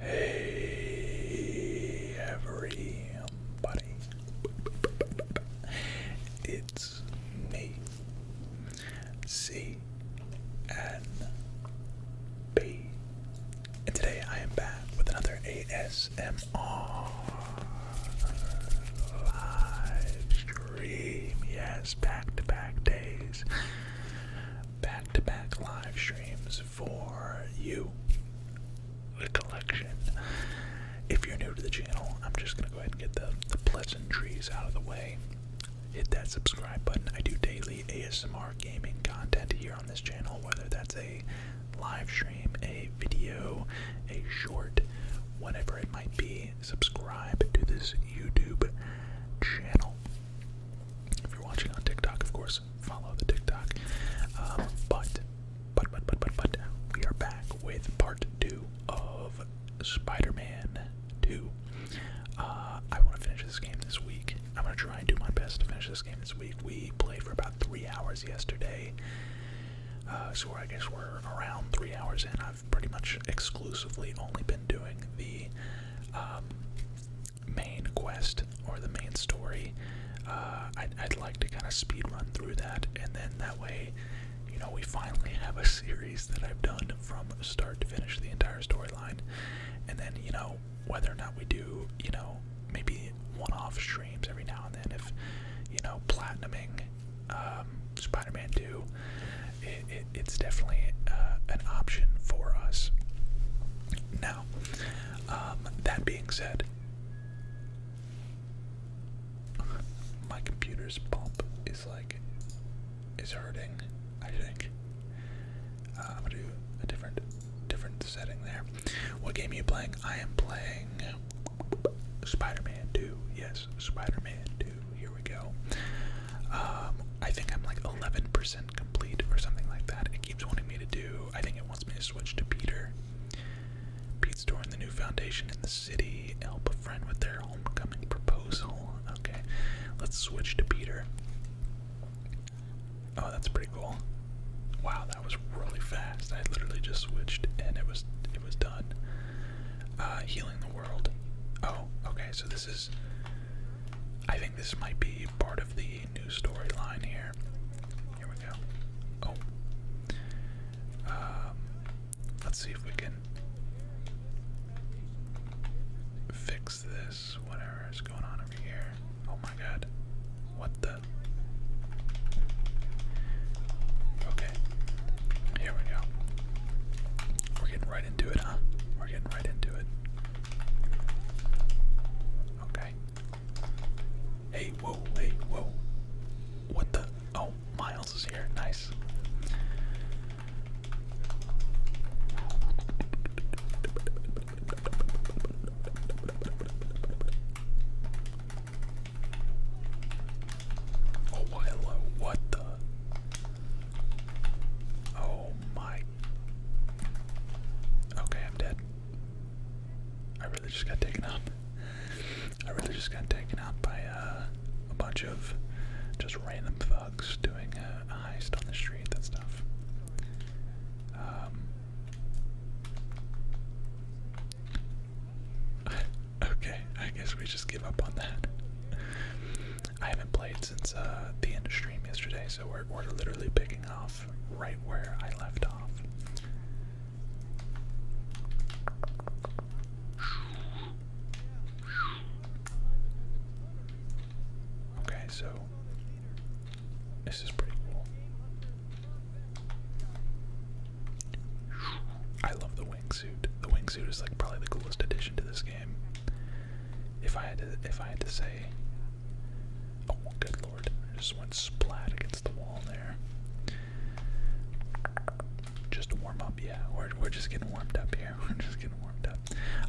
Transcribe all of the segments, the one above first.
Hey everybody. It's S me C N B. And today I am back with another ASMR live stream. Yes, back to back days. Back to back live streams for you, the collection. If you're new to the channel, I'm just going to go ahead and get the, the pleasantries out of the way hit that subscribe button. I do daily ASMR gaming content here on this channel, whether that's a live stream, a video, a short, whatever it might be. Subscribe to this YouTube channel. If you're watching on TikTok, of course, follow the TikTok. Um, but, but, but, but, but, but, we are back with part two of Spider Man two. Uh, I want to finish this game this week. I'm going to try and do my best to finish this game this week. We played for about three hours yesterday. Uh, so I guess we're around three hours in. I've pretty much exclusively only been doing the um, main quest or the main story. Uh, I'd like to kind of speed run through that, and then that way, you know, we finally have a series that I've done from start to finish the entire storyline. And then, you know, whether or not we do, you know, maybe one off streams every now and then, if, you know, platinuming um, Spider Man 2, it, it, it's definitely uh, an option for us. Now, um, that being said, my computer's pump is like is hurting, I think. Uh, I'm gonna do a different different setting there. What game are you playing? I am playing Spider-Man 2. Yes, Spider-Man 2. Here we go. Um, I think I'm like 11% complete or something like that. It keeps wanting me to do. I think it wants me to switch to Peter. Pete's doing the new foundation in the city. Help a friend with their homecoming proposal. Okay, let's switch to Peter. Oh, that's pretty cool. Wow, that was really fast. I literally just switched and it was it was done. Uh, healing the world. Oh, okay. So this is. I think this might be part of the new storyline here. Here we go. Oh. Um, let's see if we can fix this, whatever is going on over here. Oh my god. What the? Okay. Here we go. We're getting right into it, huh? We're getting right into it. Okay. Hey, whoa, hey, whoa. What the? Oh, Miles is here. Nice. Oh, Wilo, what the? Oh my. Okay, I'm dead. I really just got taken out. I really just got taken out by uh, a bunch of just random thoughts. Um, okay, I guess we just give up on that. I haven't played since uh, the end of stream yesterday, so we're literally picking off right where I left off. Okay, so this is pretty cool. I love the wingsuit. The wingsuit is like probably the coolest addition to this game. If I had to, if I had to say, oh good lord, I just went splat against the wall there. Just warm up, yeah. We're we're just getting warmed up here here. we just getting warmed up.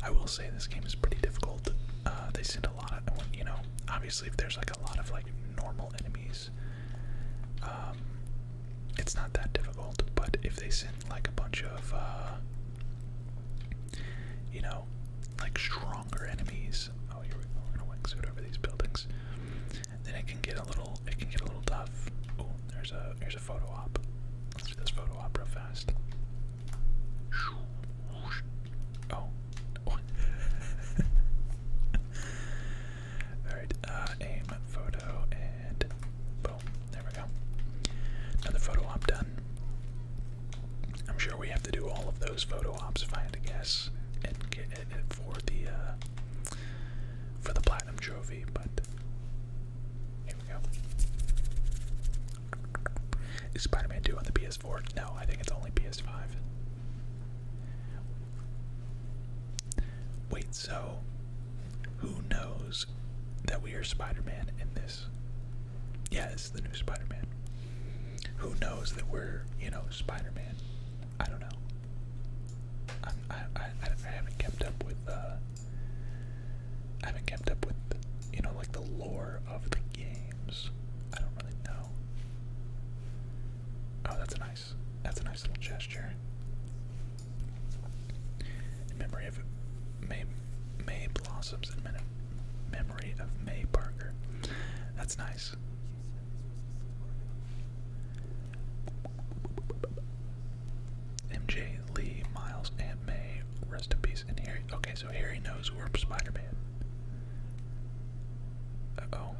I will say this game is pretty difficult. Uh, they send a lot of, you know, obviously if there's like a lot of like normal enemies, um, it's not that difficult. But if they send like a bunch of, uh, you know, like stronger enemies, oh, you are gonna wing suit over these buildings. Then it can get a little, it can get a little tough. Oh, there's a, there's photo op. Let's do this photo op real fast. Oh. Alright, uh, aim, photo, and boom. There we go. Another photo op done. I'm sure we have to do all of those photo ops if I had to guess for the uh, for the platinum trophy, but. Here we go. Is Spider-Man 2 on the PS4? No, I think it's only PS5. Wait, so who knows that we are Spider-Man in this? Yeah, it's the new Spider-Man. Who knows that we're, you know, Spider-Man? I don't know. I'm, I, I, I haven't kept up with uh, I haven't kept up with, you know, like the lore of the games. I don't really know. Oh, that's a nice, that's a nice little gesture. In memory of May, May blossoms in memory of May Parker. That's nice. MJ, Lee, Miles, and May, rest in peace, and Harry. Okay, so Harry knows we're Spider-Man. oh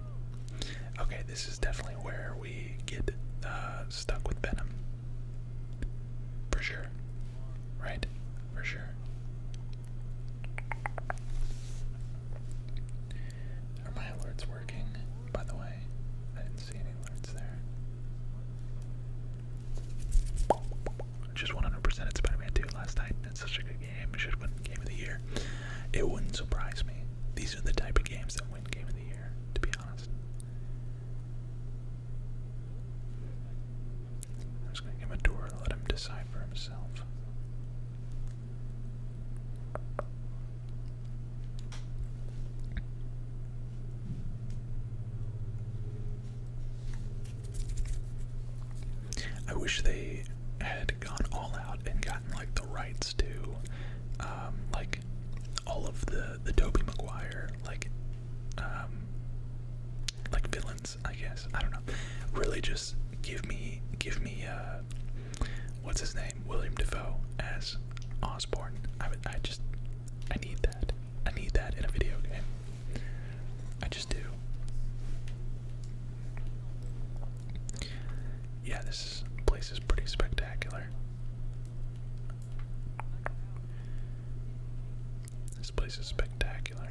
Okay, this is definitely where we get uh, stuck with Venom. For sure. Right? For sure. Are my alerts working, by the way? I didn't see any alerts there. Just 100% at Spider-Man 2 last night. It's such a good game. It should win Game of the Year. It wouldn't surprise me. These are the type of games that win Game of the Year, to be honest. I'm just going to give him a door and let him decide for himself. I wish they had gone all out and gotten like the rights to um, like all of the the Toby Maguire like um, like villains I guess I don't know really just give me give me uh, what's his name William Defoe as Osborne I I just I need that I need that in a video game. I just do. Yeah, this place is pretty spectacular. This place is spectacular.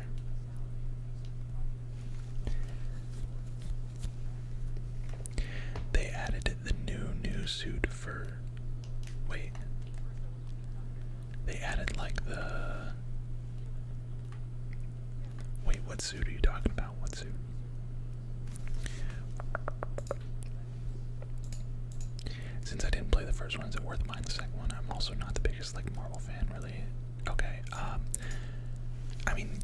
They added the new new suit for wait. They added like the. Wait, what suit are you talking about? What suit? Since I didn't play the first one, is it worth buying the second one? I'm also not the biggest like Marvel fan, really. Okay, um, I mean,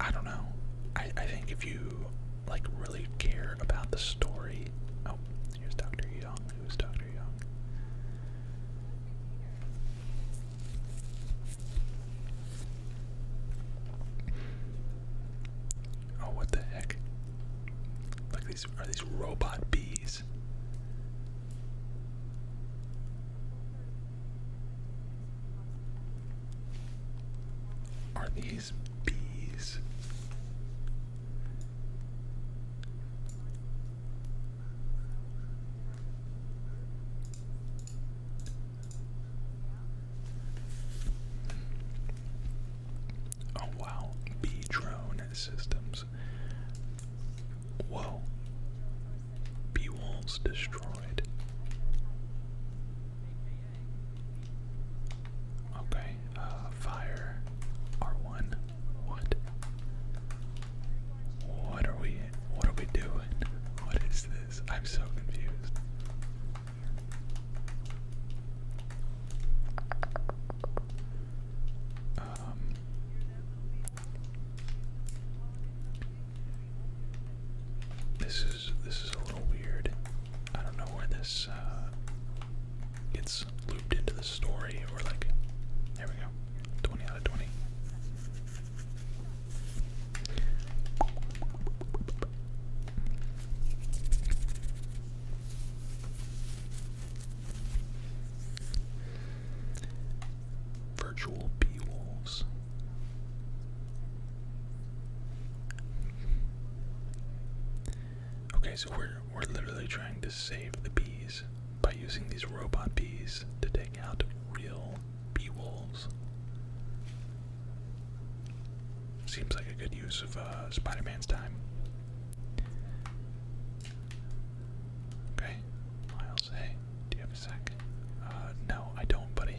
I, don't know. I I think if you like really care about the story. Oh, here's Dr. Young. Who's Dr. Young? Oh, what the heck? Like these are these robot bees? Are these bees. Oh wow, bee drone systems. Whoa. Bee walls destroyed. Okay, uh, fire R1. What? What are we what are we doing? What is this? I'm so confused. Um This is this is a little weird. I don't know where this uh, gets looped into the story or like. There we go. 20 out of 20. Virtual bee wolves. Okay, so we're we're literally trying to save the bees by using these robot bees to take out real bee wolves. Seems like a good use of uh, Spider-Man's time. Okay, Miles, hey, do you have a sec? Uh, no, I don't, buddy.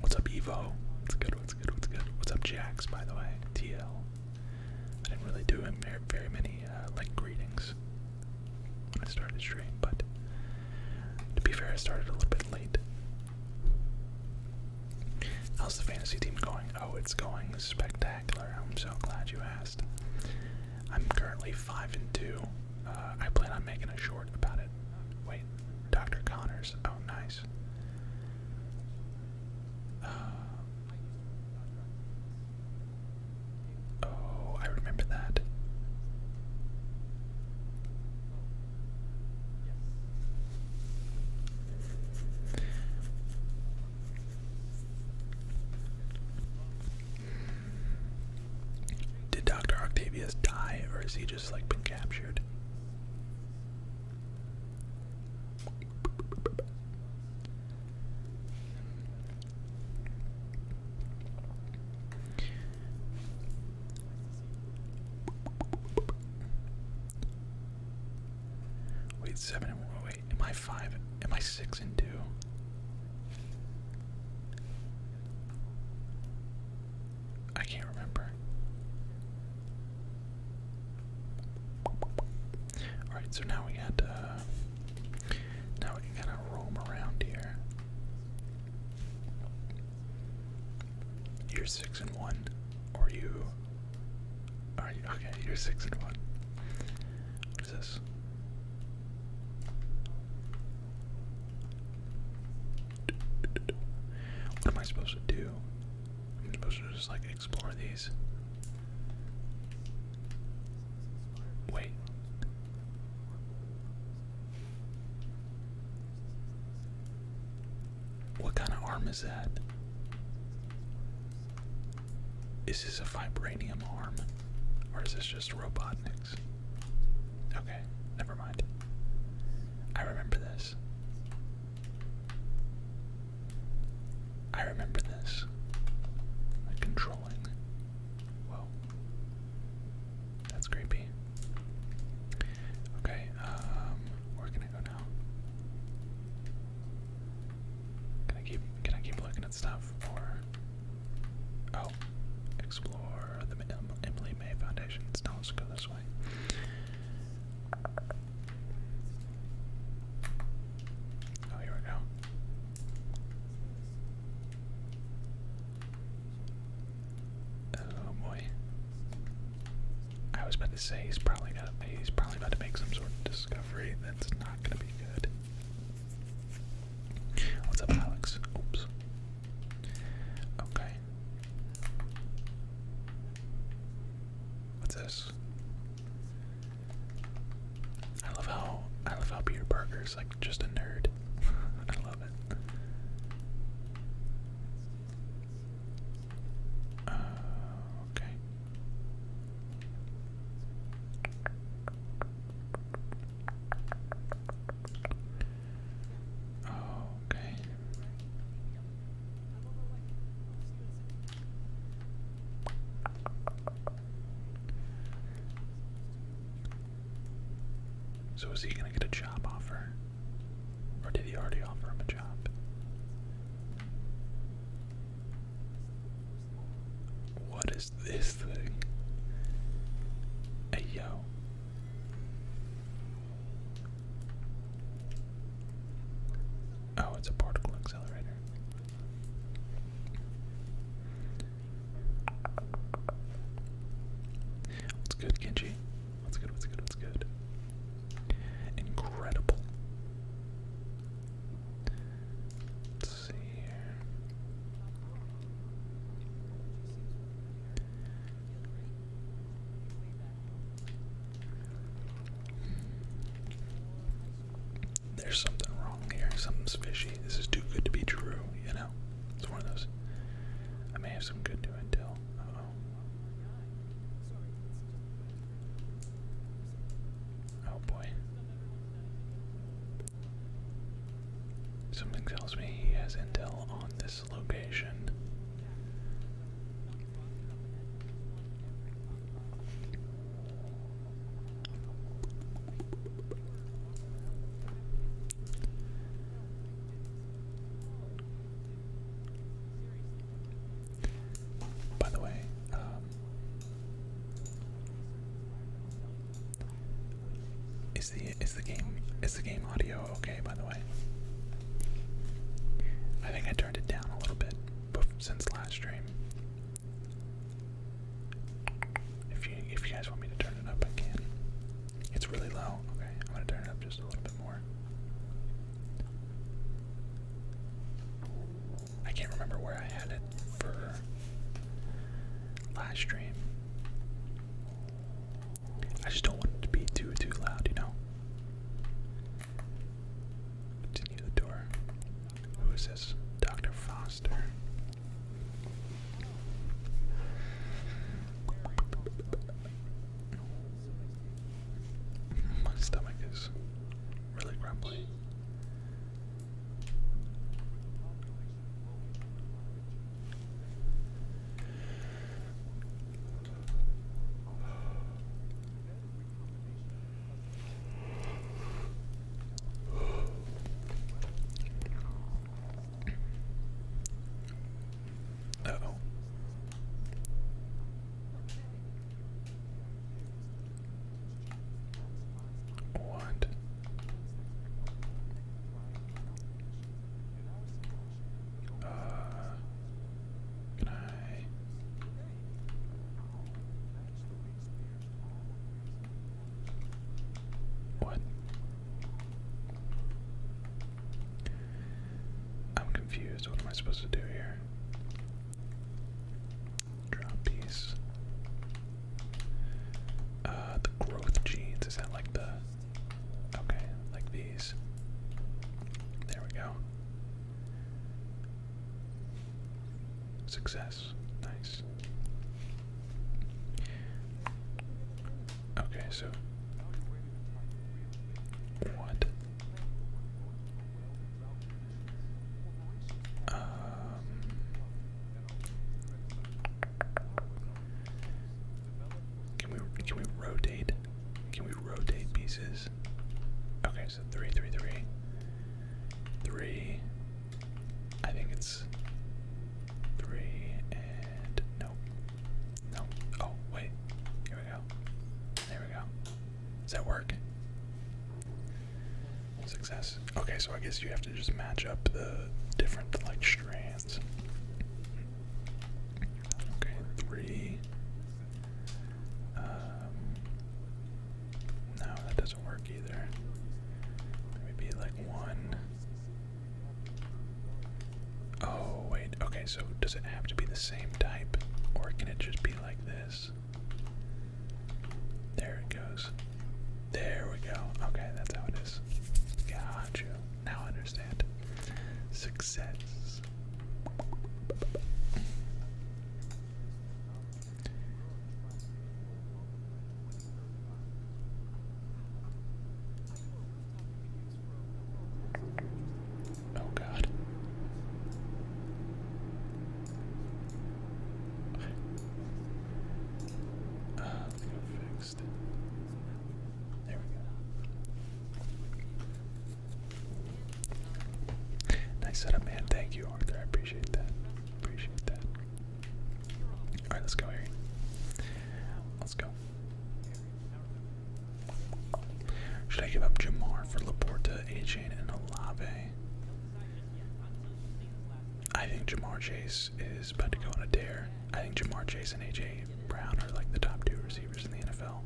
What's up, Evo? What's good? What's good? What's good? What's up, Jax? By the way, TL. I didn't really do him very, many uh, like greetings I started stream, but to be fair, I started a little bit late. How's the fantasy team going? Oh, it's going spectacular. I'm so glad you asked. I'm currently five and two. Uh, I plan on making a short about it Wait, Dr. Connors. Oh, nice. Uh, oh, I remember that. Did Dr. Octavius die or is he just like been captured? Wait, seven and one. Oh, wait, am I five? Am I six and two? I can't remember. Alright, so now we got uh, now we gotta roam around here. You're six and one. Or you are you okay, you're six and one. What is this? What am I supposed to do? I'm supposed to just like explore these. Wait. What kind of arm is that? Is this a vibranium arm? Or is this just Robotnik's? never mind. I remember this. I remember this. controlling. Whoa. That's creepy. Okay, um, where can I go now? Can I keep can I keep looking at stuff or Oh. Explore the Emily May Foundation. let's go this way. Oh, here we go. Oh boy. I was about to say he's probably going got he's probably about to make some sort of discovery that's not gonna be good. What's up, Alex? Oops. Okay. What's this? I love how I love how Peter Parker's like just a nerd. I love it. Uh, okay. Okay. So is he gonna get a job offer? Or did he already offer him a job? What is this thing? Hey yo. Oh, it's a particle accelerator. What's good, Genji? What's good, what's good, what's good? Incredible. Let's see there's something wrong here. Something's fishy. This is too good to be true, you know? It's one of those. I may have some good intel. Oh boy. Something tells me he has intel on this location. By the way, um, is the is the game is the game audio Oh, okay, by the way. I think I turned it down a little bit since last stream. If you if you guys want me to turn it up, again, It's really low. Okay, I'm gonna turn it up just a little bit more. I can't remember where I had it for last stream. I just don't want it to be too too loud, you know. Continue the door. Who is this? Dr. Foster. My stomach is really grumbly. Uh oh. What? Uh, I? What? I'm confused. What am I supposed to do here? Drop piece. Uh, the growth genes. Is that like the Okay, like these. There we go. Success. Nice. Okay, so. What? Um. Can we can we rotate? Can we rotate pieces? Okay, so three, three, three, three. I think it's three and nope, nope. Oh wait, here we go. There we go. Does that work? Success. Okay, so I guess you have to just match up the different like strands. Okay, three. Um, no, that doesn't work either. Maybe like one. Oh, wait. Okay, so does it have to be the same type, or can it just be like this? There it goes. There we go. Okay, that's how it is. Got you. Now understand. Success. Oh God. Uh, fixed. There we go. Nice setup, man. Thank you, Arthur. I appreciate that. Appreciate that. Alright, let's go, Harry. Let's go. Should I give up Jamar for Laporta, a and Olave? I think Jamar Chase is about to go on a tear. I think Jamar Chase and AJ Brown are like the top two receivers in the NFL.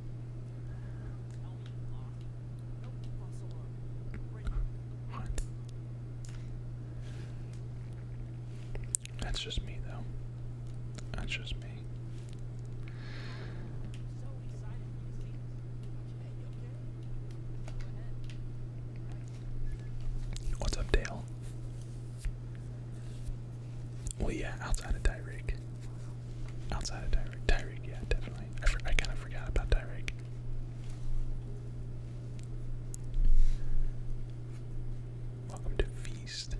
What? That's just me, though. That's just me. What's up, Dale? Well, yeah, outside of Tyreek. Outside of Tyreek. Tyreek, yeah, definitely. I, kind of forgot about Tyreek. Welcome to Feast.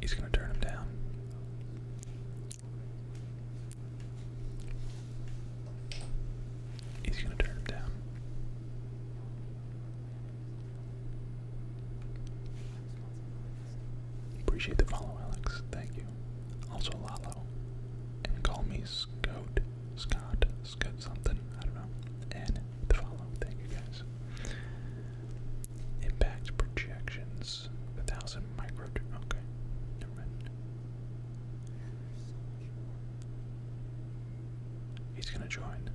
He's going to turn him down. He's going to turn him down. Appreciate the follow, Alex. Thank you. Also, Lalo. And call me Scott. Scott. Scott something. I don't know. And the follow. Thank you guys. Impact projections. A thousand micro. Okay. He's gonna join.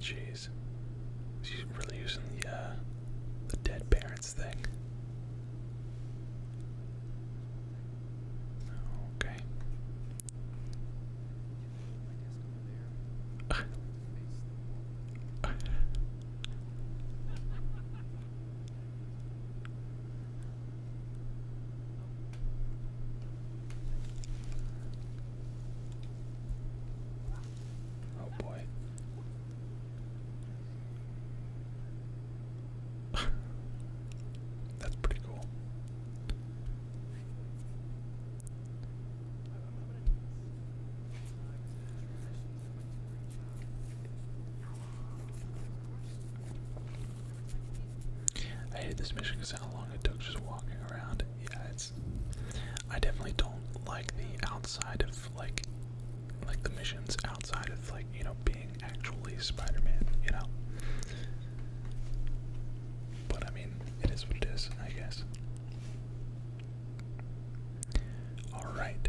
Jeez. She's really using the uh, the dead parents thing. Okay. Oh boy. That's pretty cool. I hate this mission because how long it took just walking around. Yeah, it's. I definitely don't like the outside of like, like the missions outside of like you know being actually Spider-Man. You know. But I mean, it is what it is, I guess. Alright.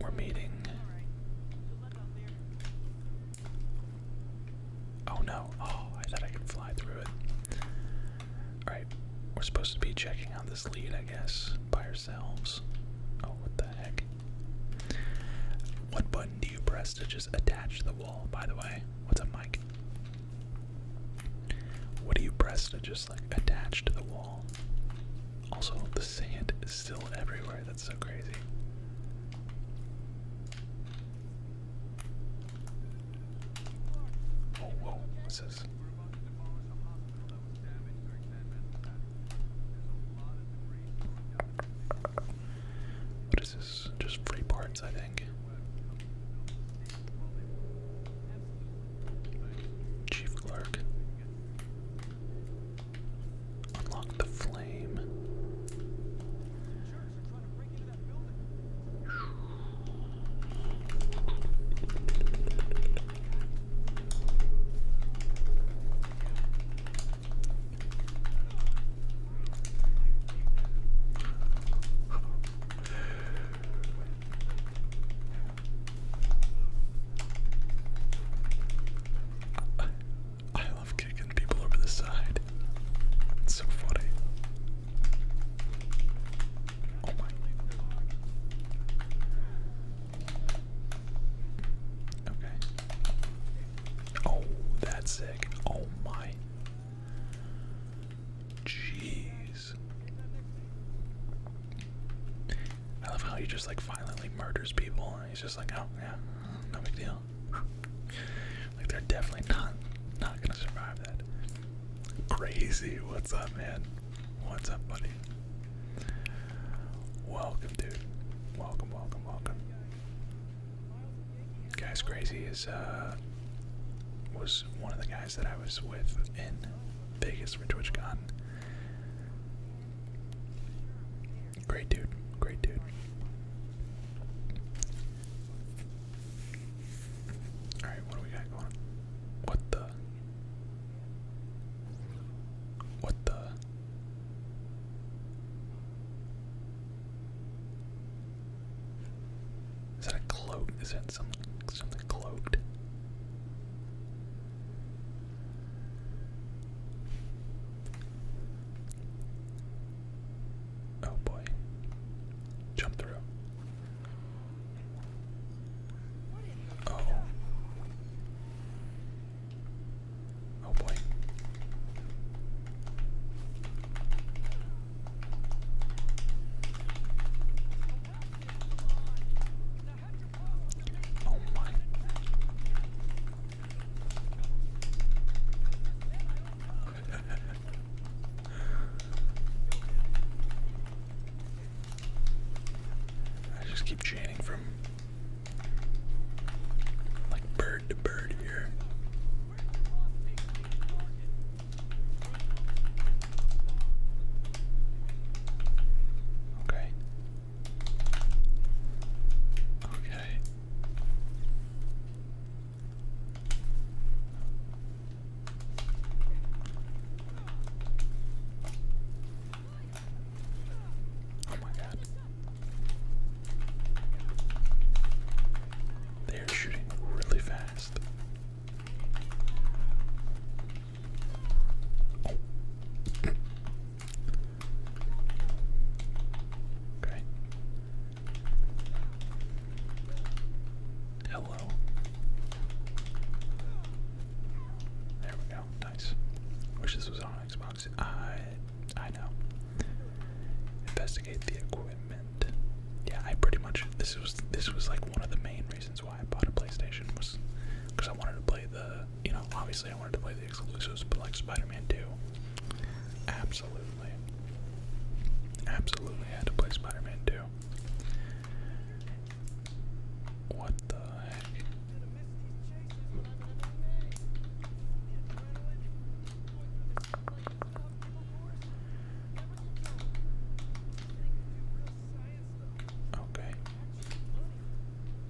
We're meeting. Oh no. Oh, I thought I could fly through it. Alright, we're supposed to be checking out this lead, I guess, by ourselves. Oh, what the heck? What button do you press to just attach the wall, by the way? What's a mic? What do you press to just just like attached to the wall. Also, the sand is still everywhere. That's so crazy. Oh, whoa, what's this? What is this? Just free parts, I think. Chief Clerk. Unlock the flame. I, love kicking people over the side. It's so funny. Oh my. Okay. Oh, that's sick. Oh my. Jeez. I love how he just like violently murders people. And he's just like, oh yeah, no big deal. like they're definitely not not gonna survive that. Crazy. What's up, man? What's up, buddy? Welcome, dude. Welcome, welcome, welcome. Guys, crazy is uh was one of the guys that I was with in Vegas for TwitchCon. Great dude. Great dude. Alright, what do we got going What the? What the? Is that a Is that something, something cloaked? Oh boy. Jump through. Oh. Oh boy. Oh I just keep chaining from like bird to bird here. Okay. Okay. Oh my god. They are shooting really fast. Okay. Hello. There we go. Nice. Wish this was on Xbox. I I know. Investigate the equipment. Yeah, I pretty much this was this was like one of the main reasons why I bought a PlayStation was because I wanted to play the you know, obviously I wanted to play the exclusives, but like Spider-Man 2, absolutely, absolutely had to play Spider-Man 2. What the heck? Okay.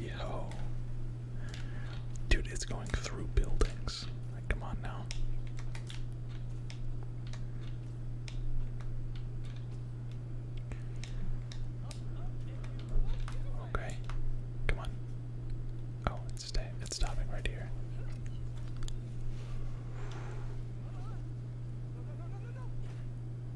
Yo. Dude, it's going through buildings. Like, come on now. Okay. Come on. Oh, it's stopping right here.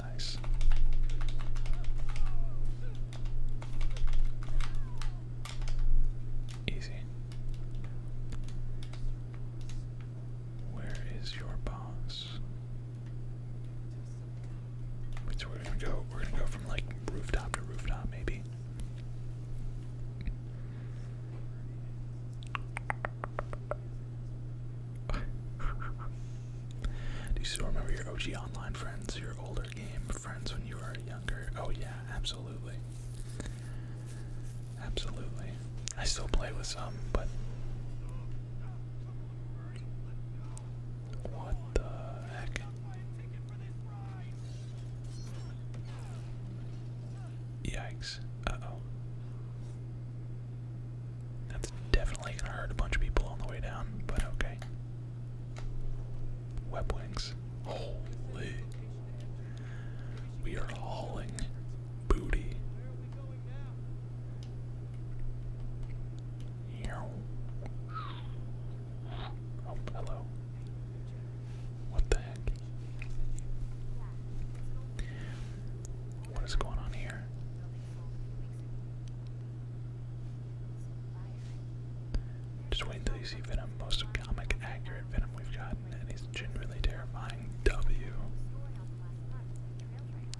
Nice. Easy. Where is your boss? so we're gonna go we're gonna go from like rooftop to rooftop maybe. Do you still remember your OG online friends, your older game friends when you were younger? Oh, yeah, absolutely. Absolutely. I still play with some, but. What the heck? Yikes. oh. That's definitely gonna hurt a bunch of people on the way down, but okay. Web wings. Holy. We are hauling booty. Oh, hello. What the heck? What is going on here? Just wait until you see Venom, most comic accurate Venom we've gotten, and he's genuinely terrifying. W.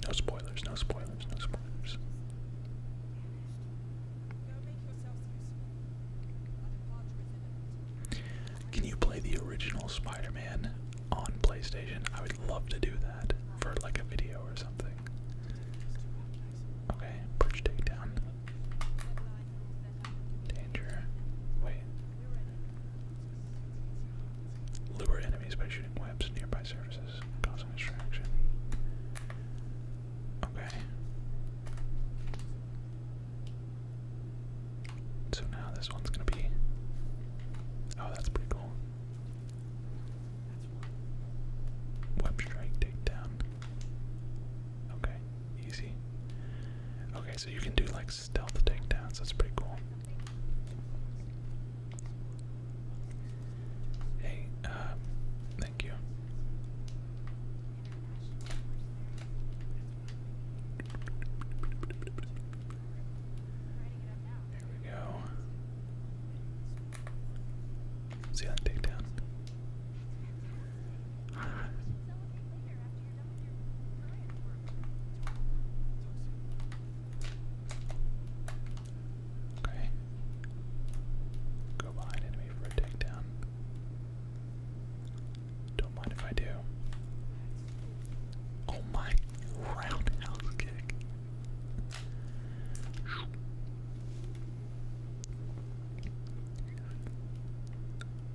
No spoilers, no spoilers, no spoilers. Can you play the original Spider Man? on PlayStation. I would love to do that for like a video or something. Okay, bridge takedown. Danger. Wait. Lure enemies by shooting webs nearby surfaces, causing distraction. Okay. So now this one's gonna be. Oh, that's pretty cool. Web strike takedown. Okay, easy. Okay, so you can do like stealth takedowns. That's pretty cool. Hey, um, thank you. Here we go. See that takedown? okay. Go behind enemy for a takedown. Don't mind if I do. Oh my Roundhouse kick.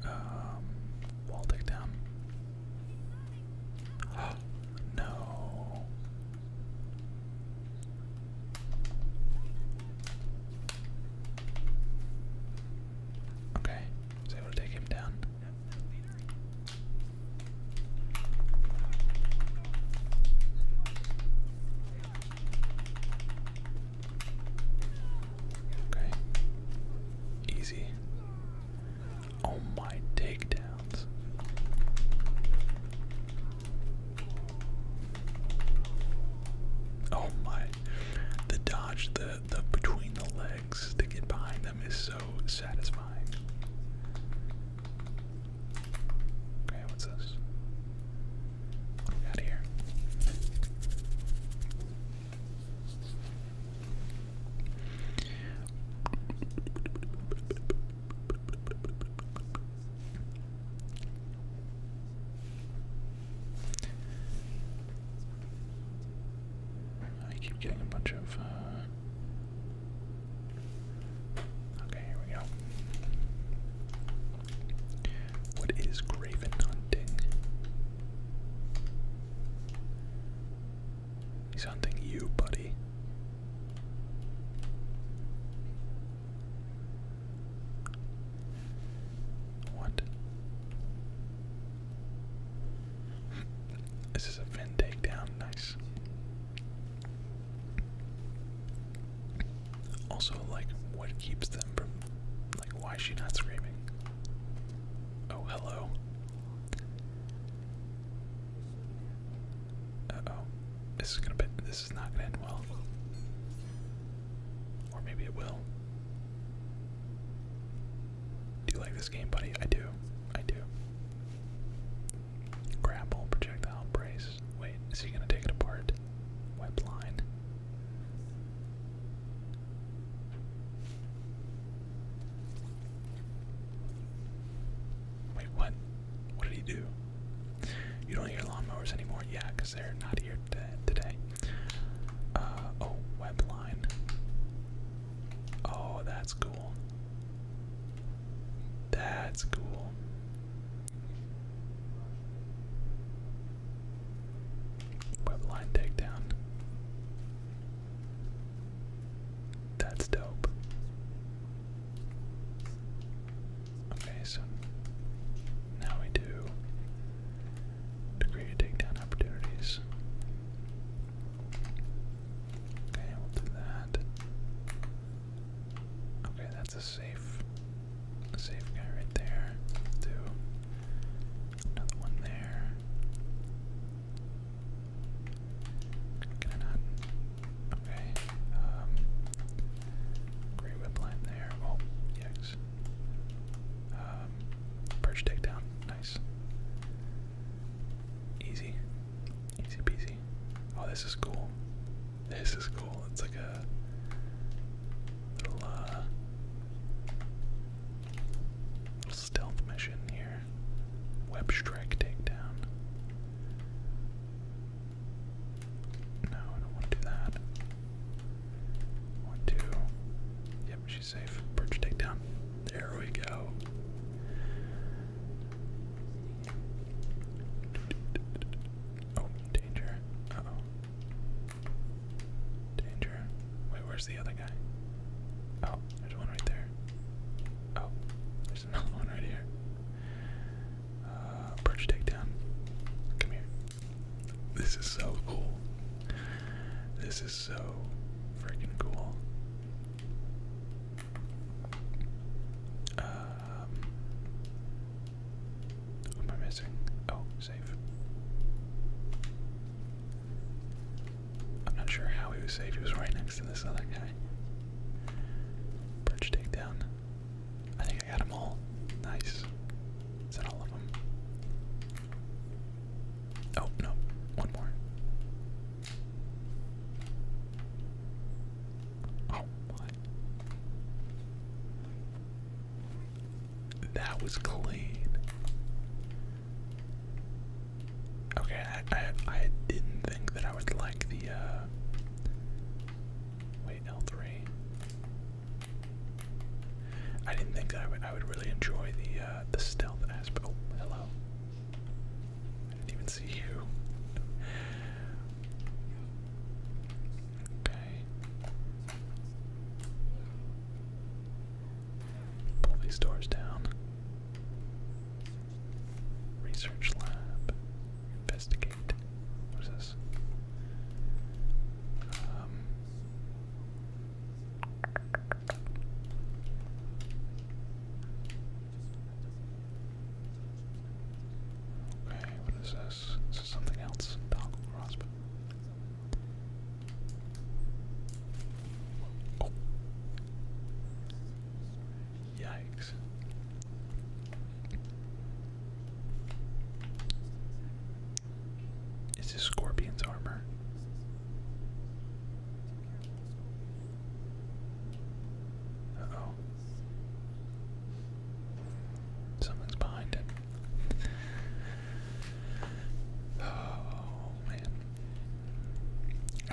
Um, wall takedown. Oh, no. Okay, so able to take him down. Okay. Easy. Oh my takedowns. Oh my. The dodge, the the between the to get behind them is so satisfying. Okay, what's this? What do here? I keep getting a bunch of uh, Okay, here we go. What is Graven hunting? He's hunting you, buddy. What? This is a fin takedown, nice. Also, like, what keeps them from, like, why is she not screaming? Oh, hello. Uh oh, this is gonna be, this is not gonna end well. Or maybe it will. Do you like this game, buddy? I do. I do. Grapple, projectile, brace. Wait, is he gonna take it apart? Web Wait, what? What did he do? You don't hear lawnmowers anymore? Yeah, they're not here today. Uh, oh, web Oh, that's cool. That's cool. Web takedown. That's dope. Okay, so now we do degree takedown opportunities. Okay, we'll do that. Okay, that's a safe, safe guy right there. do another one there. Okay. Um, whip line there. Oh, yikes. Um, perch takedown. Nice. Easy. Easy peasy. Oh, this is cool. This is cool. It's like a little, uh, stealth mission here. Web strike takedown. No, I don't want to do that. One, two. Yep, she's safe. Perch takedown. There we go. Oh, danger. oh. Danger. Wait, where's the other guy? Oh, there's one right there. Oh, there's another one right here. Uh, takedown. Come here. This is so cool. This is so freaking cool. Um, am I missing? Oh, save. I'm not sure how he was saved. He was right next to this other guy. Perch takedown. I think I got them all. Nice. Is that all of them? Oh, no. One more. Oh my. That was clean. Okay, I, I I didn't think that I would like the uh wait, L3. I didn't think I would I would really enjoy the uh the stealth aspect. Oh, hello. I didn't even see you. Okay. Pull these doors down. Research lab. Investigate. What is this? Um, Okay, what is this? This is something else. Dongle crossbow. Oh. Yikes. Is Scorpion's armor? oh. Something's behind it. Oh man.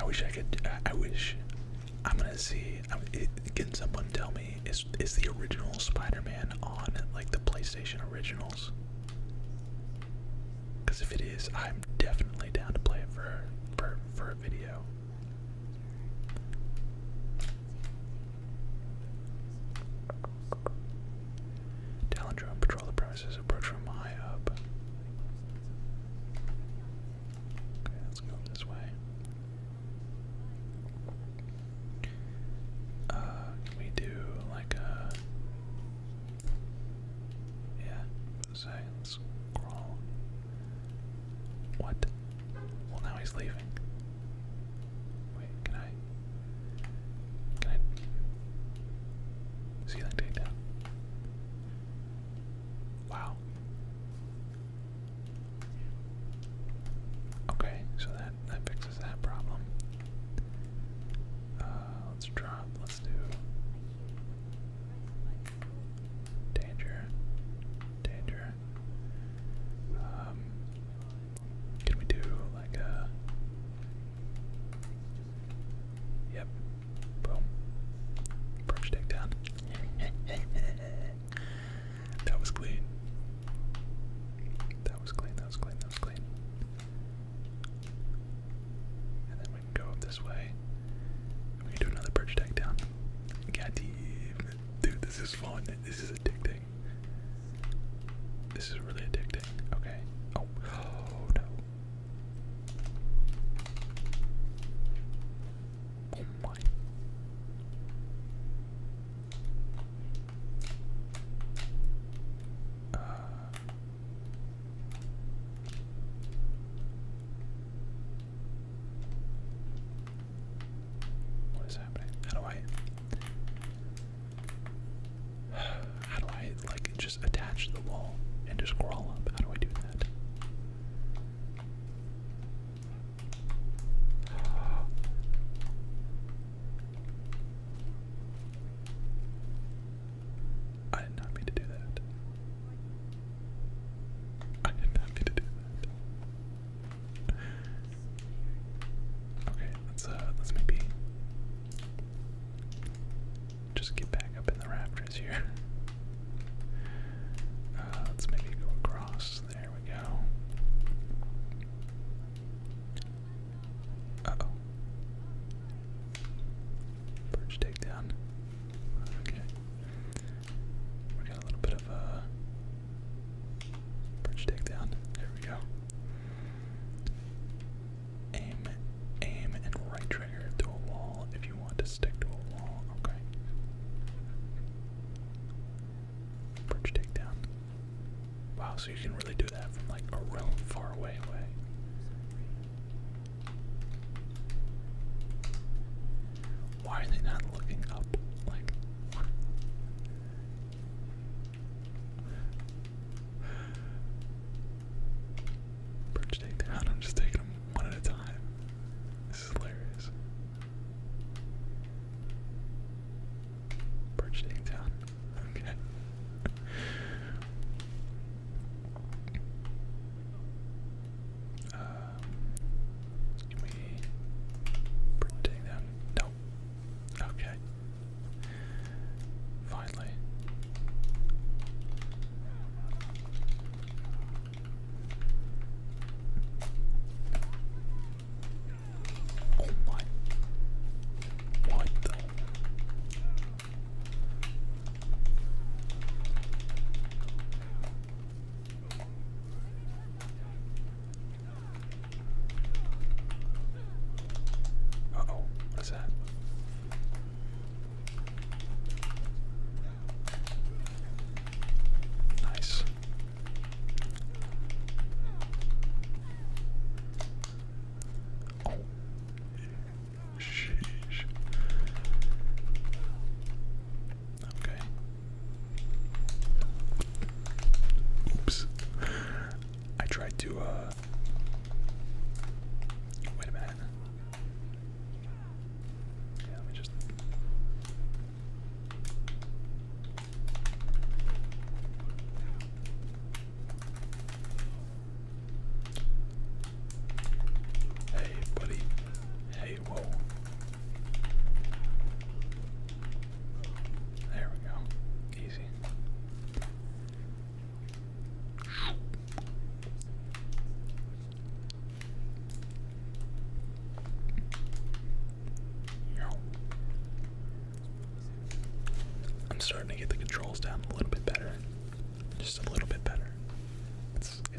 I wish I could. I, wish. I'm gonna see. I'm, it, can someone tell me is is the original Spider-Man on like the PlayStation originals? Because if it is, I'm definitely down to play it for for for a video. Talent drone, patrol the premises, approach from high up. Okay, let's go this way. Uh, can we do like a. Yeah, Zane's crawl. What? Well, now he's leaving. can I? Can I? See that Wow. Okay, so that that fixes that problem. Uh, let's drop. Let's do. Danger. Danger. Um, can we do like a. Uh, yep. Boom. Perch takedown. that was clean. That was clean, that was clean, that was clean. And then we can go up this way. We do another bridge tag down. God Dude, this is fun. This is addicting. This is really addicting. Okay. Oh, no. Oh my. Uh. What is happening? How do I how do I like just attach the wall and just crawl up? How do I do that? I did not mean to do that. I didn't have to do that. Okay, let's uh let's maybe just get back up in the rafters here. Uh, let's maybe go across. There we go. oh. Purge takedown. Okay. We got a little bit of a bridge takedown. There we go. Aim, aim, and right trigger to a wall if you want to stick to a wall. Okay. Bridge takedown. Wow, so you can really do that from like a real far away away. Why are they not looking up? Like, Birch take down. I'm just taking them one at a time. This is hilarious. Birch taking down. Okay. Uh, can we take that? No. Okay. Finally. Oh my. What the? Uh oh, what is that? Nice. Oh, sheesh. Okay. Oops. I tried to, uh, Wait a minute. let me just. Hey, buddy. Hey, whoa. There we go. Easy. I'm starting to get the controls down a little bit better. Just a little bit better.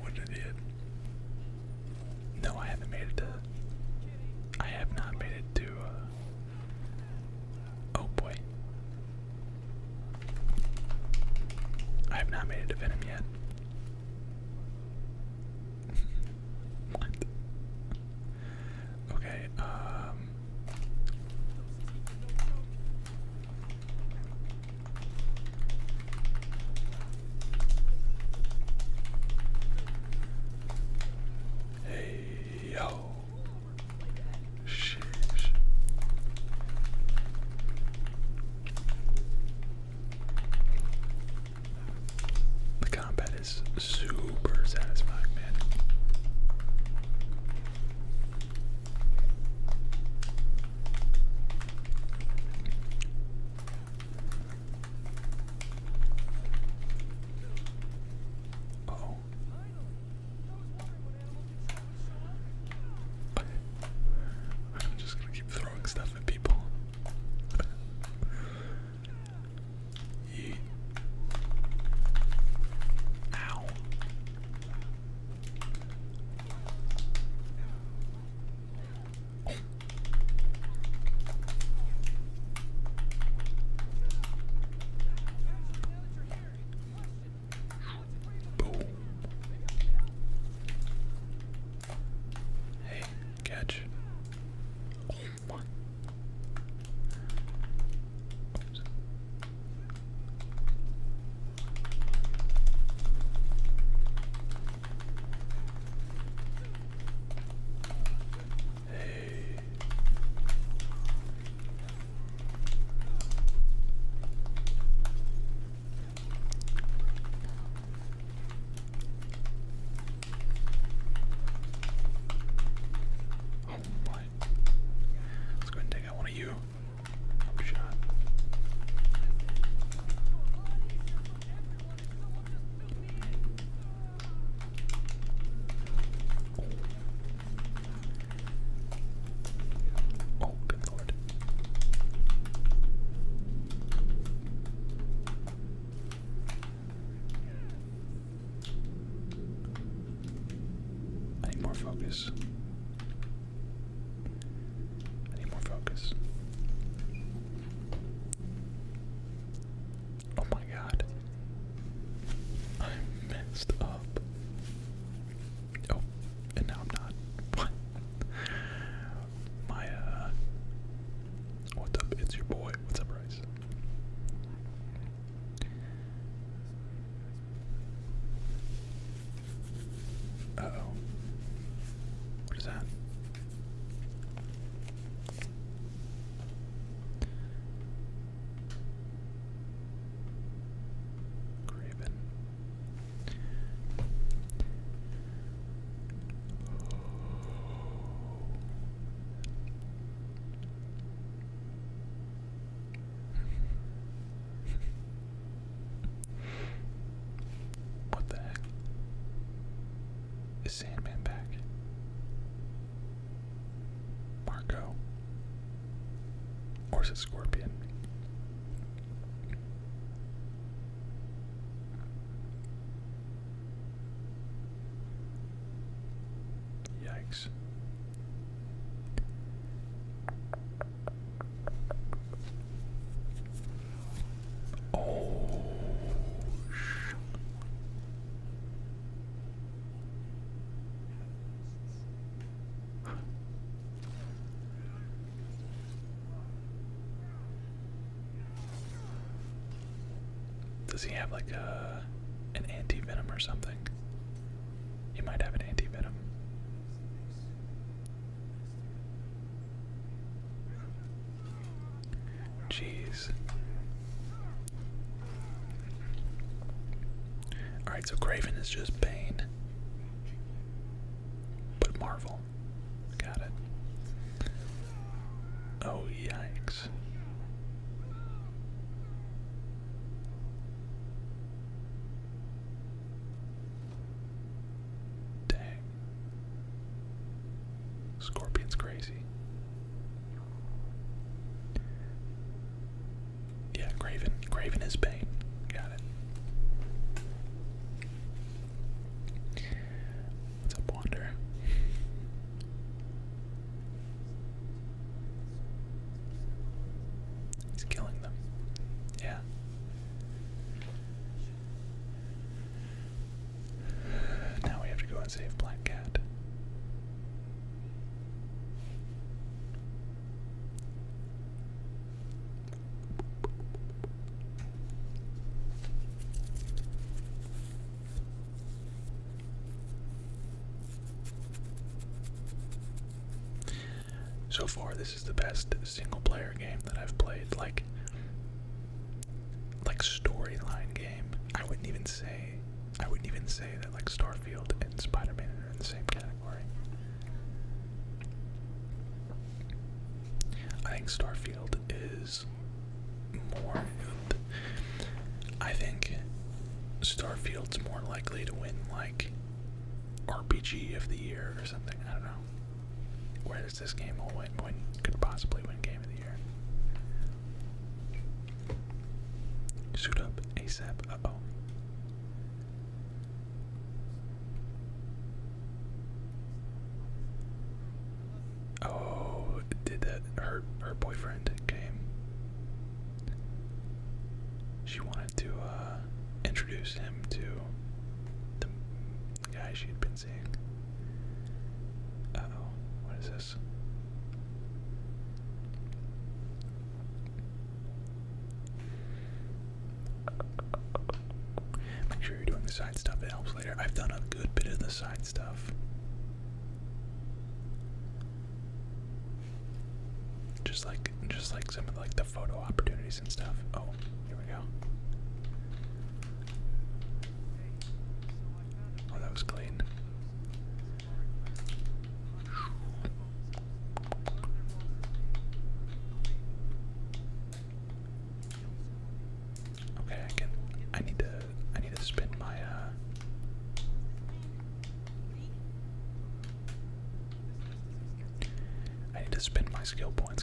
What an idiot. No, I haven't made it to. I have not made it to. Uh, oh boy. I have not made it to Venom yet. what? Okay, um. Hey yo. Sheesh. The combat is super satisfying, man. Uh oh. I'm just gonna keep throwing stuff at people. yeah. Ow. Boom. Hey, catch. Oh my. Oops. Hey. Oh my. Let's go and take out one of you i oh, lord. I need more focus. I need more focus. Oh my god. I messed up. Oh, and now I'm not. What? My, uh. What's up? It's your boy. What's up, Rice? Uh oh. What is that? Craven what the heck? Is Sandman back? Marco? Or is it Scorpion? Yikes. Oh, sh Does he have like a an anti-venom or something? He might have an anti-venom. Jeez. Alright, so Craven is just pain, But Marvel. Got it. Oh, yikes. Dang. Scorpion's crazy. Yeah, Graven. Graven is Bane. Got it. What's up, Wander? He's killing them. Yeah. Now we have to go and save Black Cat. So far, this is the best single-player game that I've played. Like, like storyline game. I wouldn't even say, I wouldn't even say that like Starfield and Spider-Man are in the same category. I think Starfield is more. I think Starfield's more likely to win like RPG of the year or something. I don't know. Where does this game will win, win? Could possibly win game of the year. Suit up ASAP. oh. Oh, did that hurt? her boyfriend came? She wanted to uh, introduce him to the the guy she had been seeing. oh, what is this? Make sure you're doing the side stuff, it helps later. I've done a good bit of the side stuff. Just like just like some of like the photo opportunities and stuff. Oh, here we go. Oh, that was clean. Okay, I can. I need to. I need to spin my. Uh, I need to spin my skill points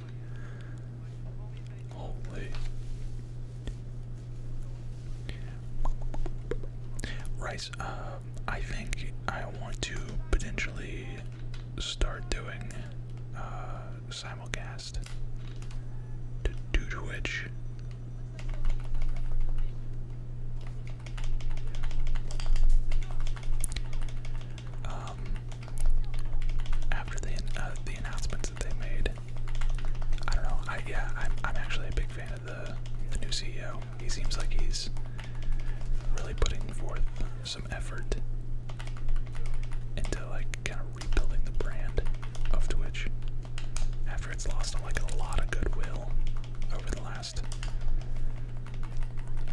Holy. Rice, um, I think I want to potentially start doing uh, simulcast to Twitch. Um, after the uh, the announcements that they made I don't know. yeah, I'm actually a big fan of the the new CEO. He seems like he's really putting forth some effort into like kind of rebuilding the brand of Twitch after it's lost like a lot of goodwill over the last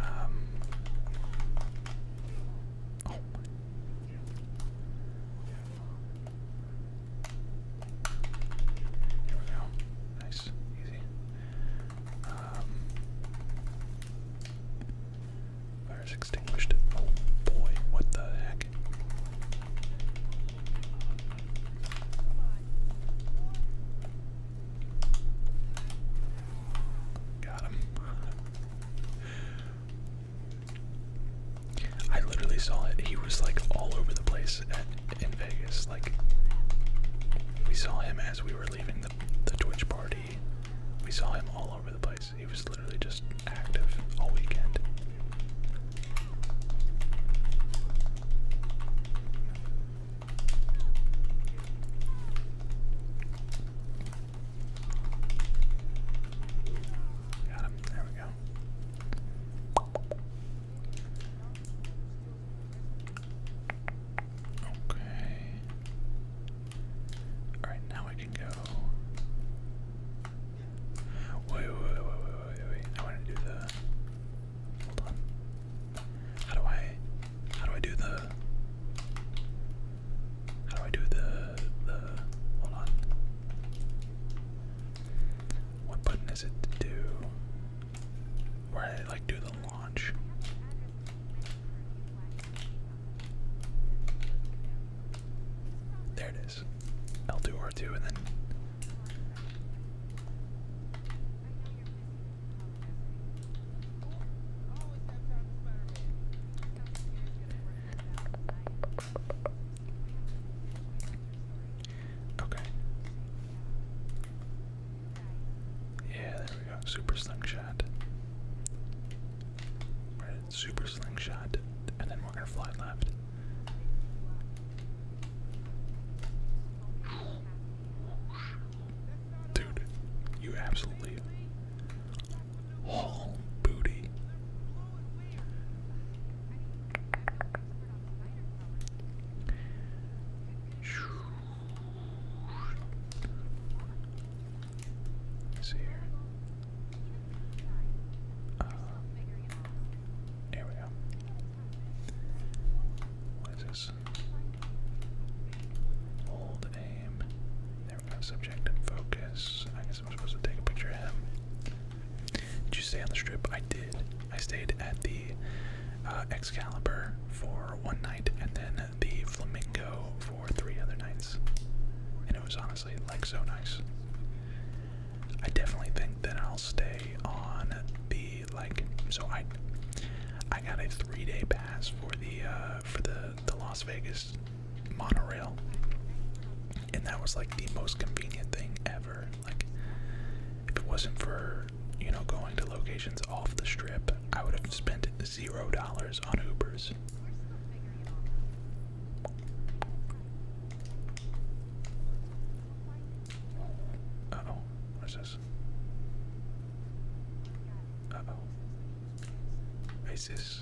um, oh here we go. Nice, easy. Um, extinguished. Oh boy, what the heck? Got him. I literally saw it. He was like all over the place in Vegas. Like we saw him as we were leaving the the Twitch party. We saw him all over the place. He was literally just active all weekend. Got him. There we go. Okay. Alright, now I can go. wait, wait, wait, wait, wait, wait. I want to do the. Hold on. How do I. How do I do the. How do I do the the hold on? What button is it to do? Where I like do the launch. There it is. L2 R2 and then Okay. Yeah, there we go. Super slingshot. Right, super slingshot, and then we're gonna fly left. Dude, you absolutely Haul booty. see here. Uh, we go. What is this? Hold aim. There we go. Subject focus. I'm supposed to take a picture of him. Did you stay on the strip? I did. I stayed at the uh, Excalibur for one night and then the Flamingo for three other nights. And it was honestly like so nice. I definitely think that I'll stay on the like so I I got a three day pass for the uh for the the Las Vegas monorail and that was like the most convenient thing ever. Like, if it wasn't for you know going to locations off the strip, I would have spent zero dollars on Ubers. oh, what's this? oh. Is this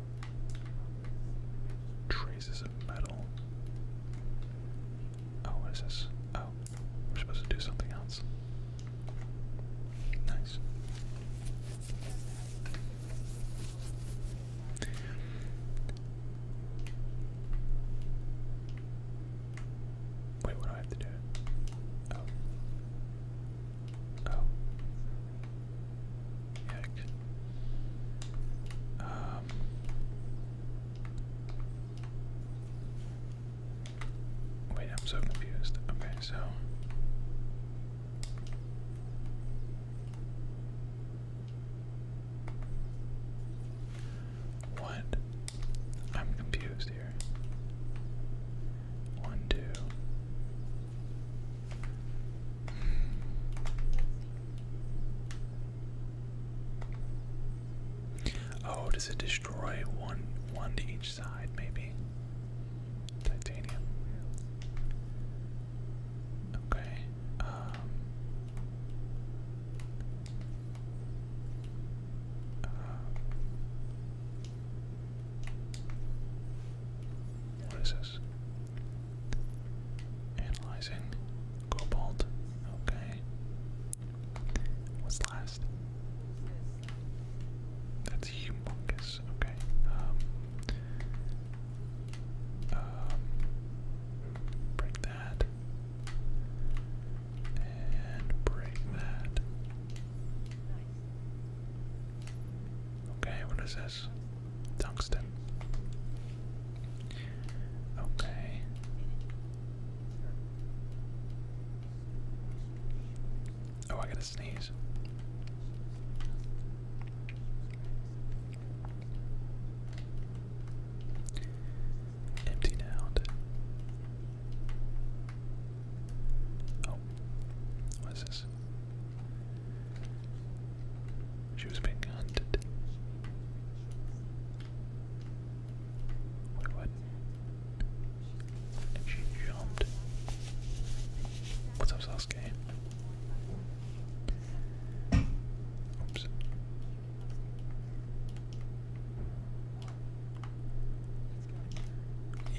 Traces of metal. Oh, what is this? Oh, we're supposed to do something else. Nice. Wait, what do I have to do? Oh. Oh. Heck. Um. Wait, I'm so confused. Okay, so. What? I'm confused here. One, two. Oh, does it destroy one one to each side, maybe? Titanium. Okay. Um, uh, what is it? Analyzing cobalt. Okay. What's last? That's humongous. Okay. Um, um. Break that. And break that. Okay. What is this? Tungsten. Okay. Oh, I gotta sneeze. Empty down. Oh, what is this? She was being hunted. what? And she jumped. What's up, Sasuke? Oops.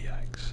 Yikes.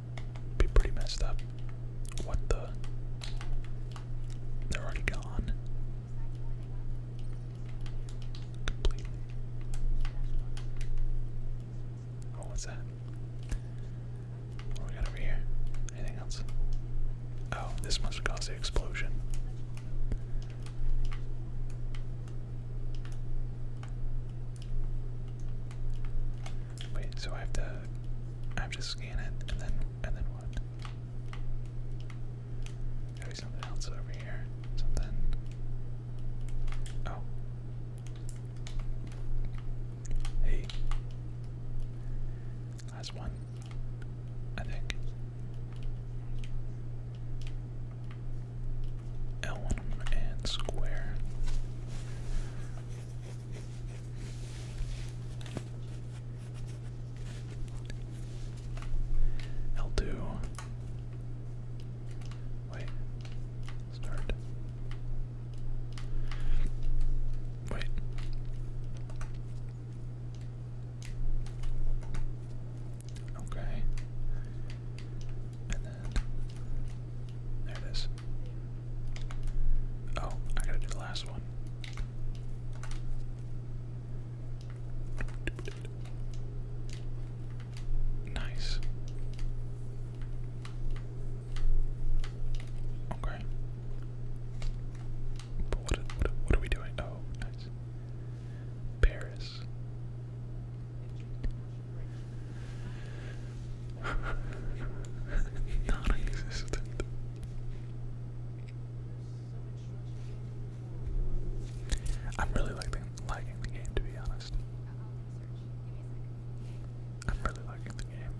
Be pretty messed up. What the? They're already gone. Completely. Oh, what's that? What we got over here? Anything else? Oh, this must have the explosion. Wait, so I have to I have to scan it and then and then what? got something else over here. Something. Oh. Hey. Last one. I think. L and square. L2. Wait. Start. Wait. Okay. And then there it is. Oh, I gotta do the last one. Nice. Okay. But what, what, are we doing? Oh, nice. Paris. Non-existent. I'm really liking, liking the game, to be honest. I'm really liking the game.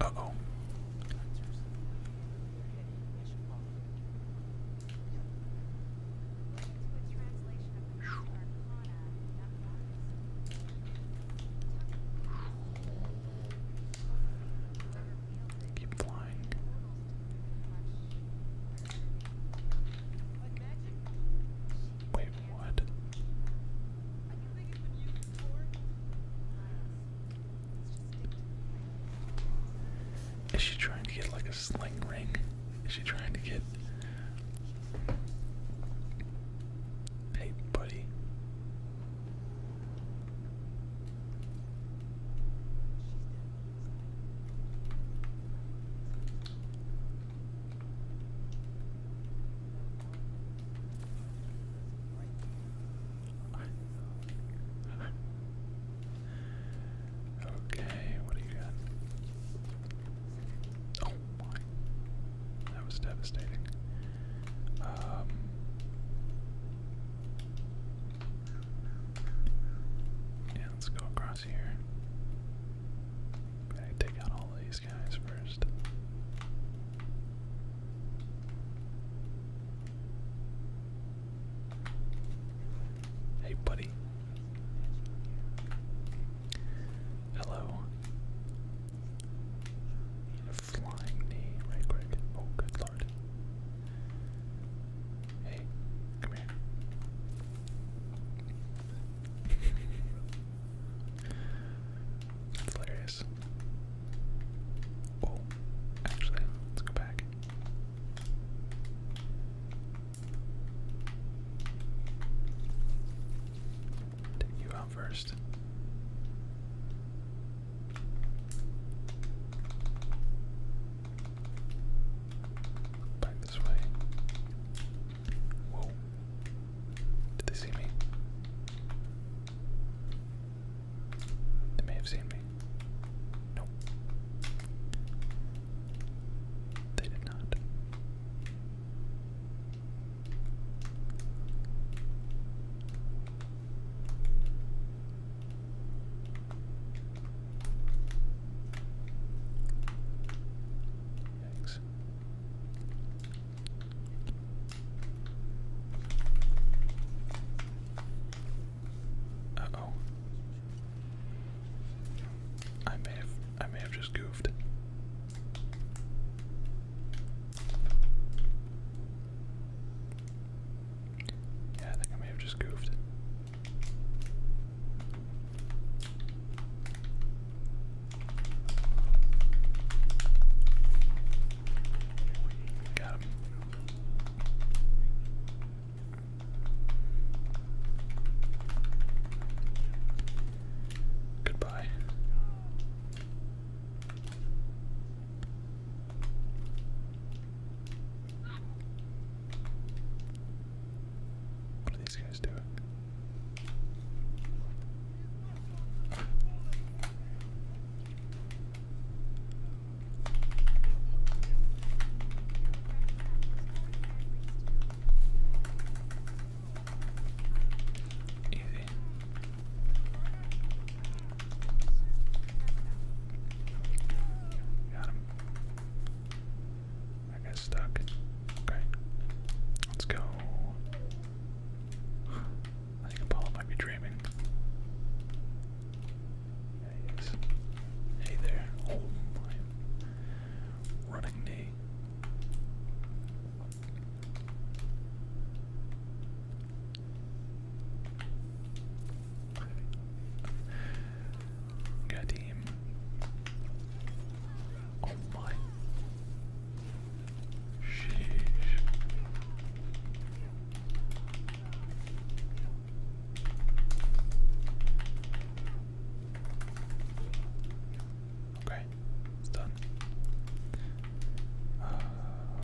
Uh oh. Keep flying. Wait, what? Is she trying to get like a sling ring? Is she trying to get. Hey, buddy. Okay, what do you got? Oh my that was devastating. Um, yeah, let's go across here. I take out all these guys first. Hey, buddy. Hello. Flying knee, right quick. Oh, good lord. Hey, come here. hilarious. Oh, actually, let's go back. Take you out first. Back this way. Whoa. Did they see me? They may have seen me. Nope. They did not. Thanks. oh. I may have I may have just goofed. Yeah, I think I may have just goofed. Got Goodbye. What are these guys doing? Easy. Got him. That guy's stuck. Okay. Let's go. I think Apollo might be dreaming. Hey there. Oh running knee. Good team. Oh my. Sheesh. Okay, it's done. Uh,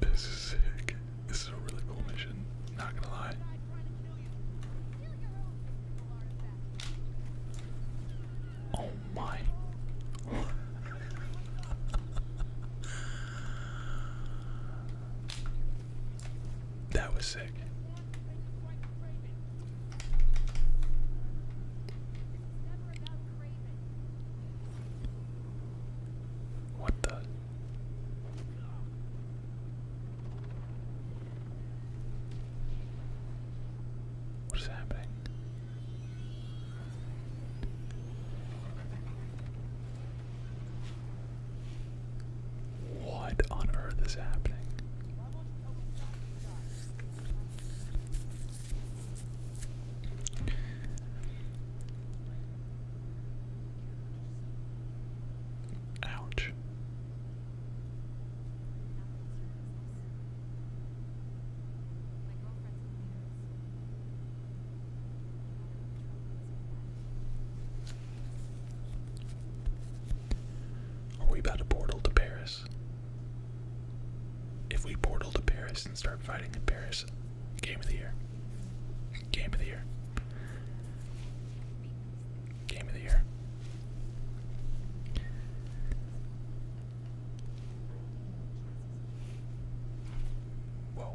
This is sick. This is a really cool mission, not gonna lie. Oh my. that was sick. What the? What is happening? What on earth is happening? Ouch. Are we about to portal to Paris? If we portal to Paris and start fighting in Paris, game of the year. Game of the year. Game of the year. Whoa.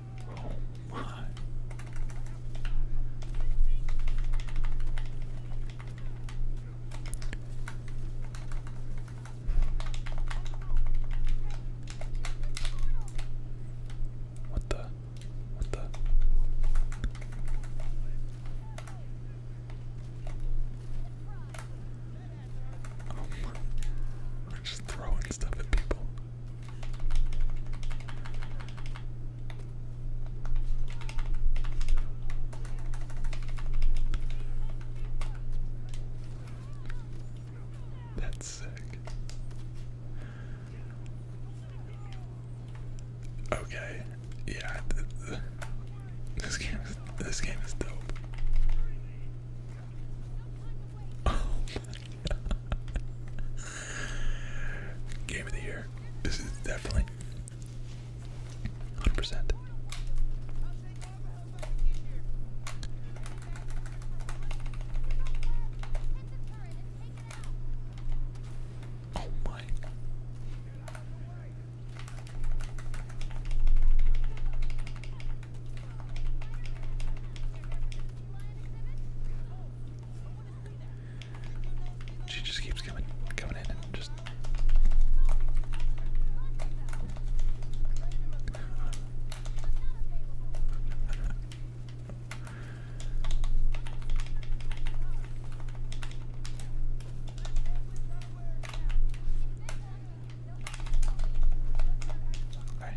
Oh my. What the? What the? Oh my. We're just throwing stuff at people. That's sick. Okay, yeah, this game this game is dope. Oh Game of the year. This is definitely 100%. Oh my. She just keeps coming coming in and just Okay.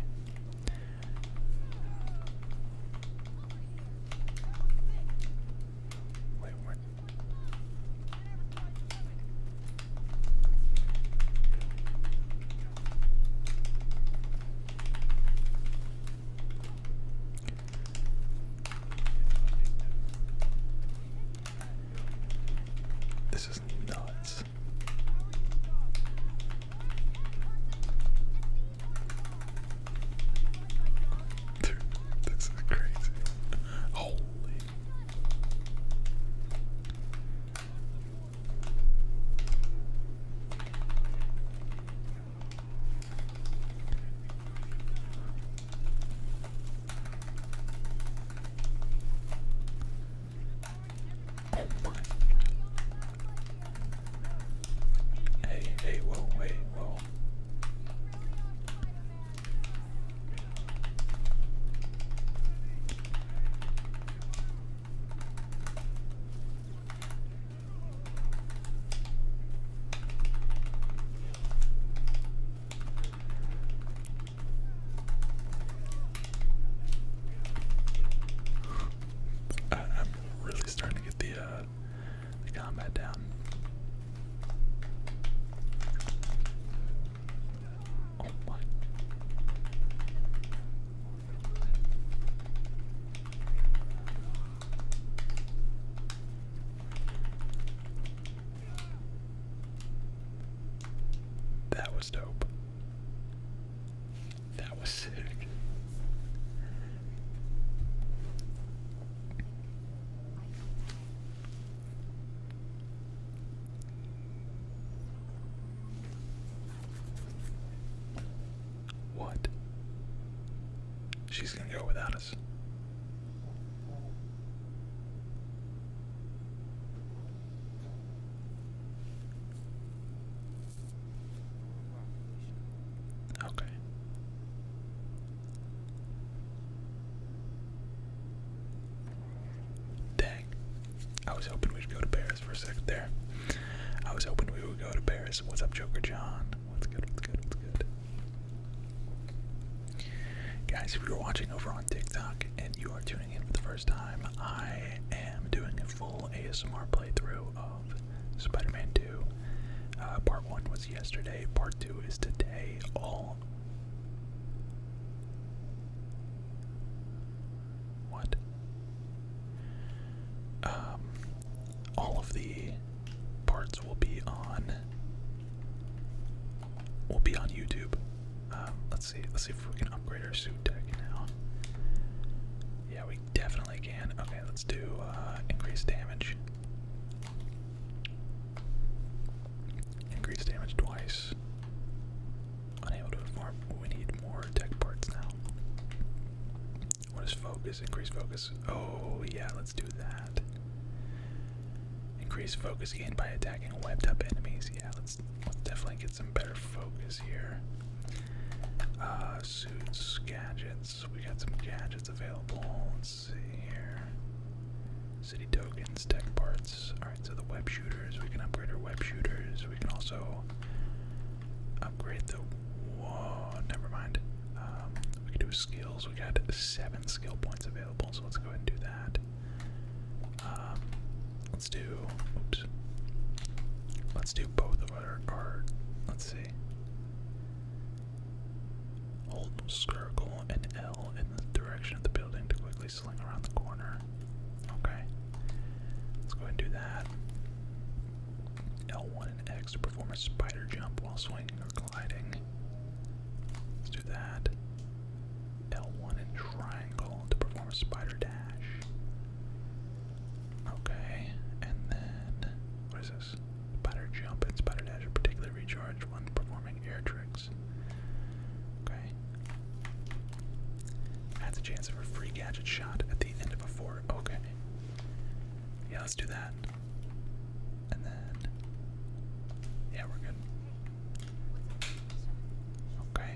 This is nuts. Dude, this is crazy. Holy. Hey, hey, whoa, hey, whoa. I, I'm really starting to get the uh, the combat down. Oh my. That was dope. That was sick. What? She's gonna go without us. Okay. Dang. I was hoping we'd go to Paris for a second there. I was hoping we would go to Paris. What's up, Joker John? What's good? What's good? What's good? Guys, if you're watching over on TikTok and you are tuning in for the first time, I am doing a full ASMR playthrough of Spider-Man 2. Uh, part 1 was yesterday, part 2 is today. All What? Um all of the parts will be on will be on YouTube. Um, let's see, let's see if we can upgrade our suit deck now. Yeah, we definitely can. Okay, let's do uh, increased damage. Increase damage twice. Unable to inform. We need more tech parts now. What is focus? Increase focus. Oh, yeah, let's do that. Increase focus gained by attacking wiped up enemies. Yeah, let's, let's definitely get some better focus here. Uh, suits, gadgets. We got some gadgets available. Let's see here. City tokens, tech parts. Alright, so the web shooters. We can upgrade our web shooters. We can also upgrade the. Whoa, never mind. Um, we can do skills. We got seven skill points available, so let's go ahead and do that. Um, let's do. Oops. Let's do both Let's see. Hold circle and L in the direction of the building to quickly sling around the corner. Okay. Let's go ahead and do that. L1 and X to perform a spider jump while swinging or gliding. Let's do that. L1 and triangle to perform a spider dash. Okay, and then what is this? Spider jump and spider dash are particularly recharged when performing air tricks. Okay. That's a chance of a free gadget shot at the end of a fort. Okay. Yeah, let's do that. And then Yeah, we're good. Okay.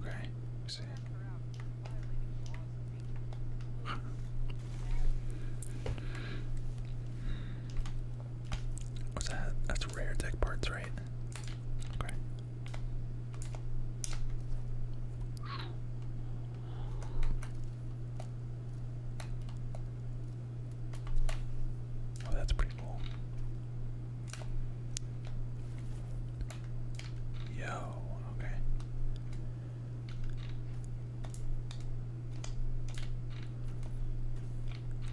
Okay, see. What's that? That's rare tech parts, right? Okay. Oh, that's pretty cool. Yo, okay.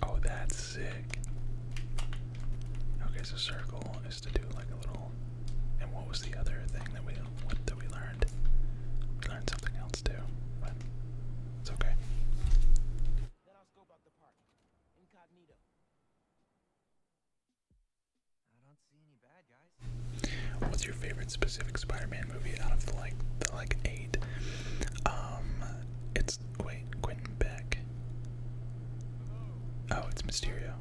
Oh, that's sick. Okay, so circle is to do like a little. And what was the other thing that we what that we learned? We learned something else too, but it's okay. What's your favorite specific Spider-Man movie out of the like the like eight? Um, it's wait, Quentin Beck. Oh, it's Mysterio.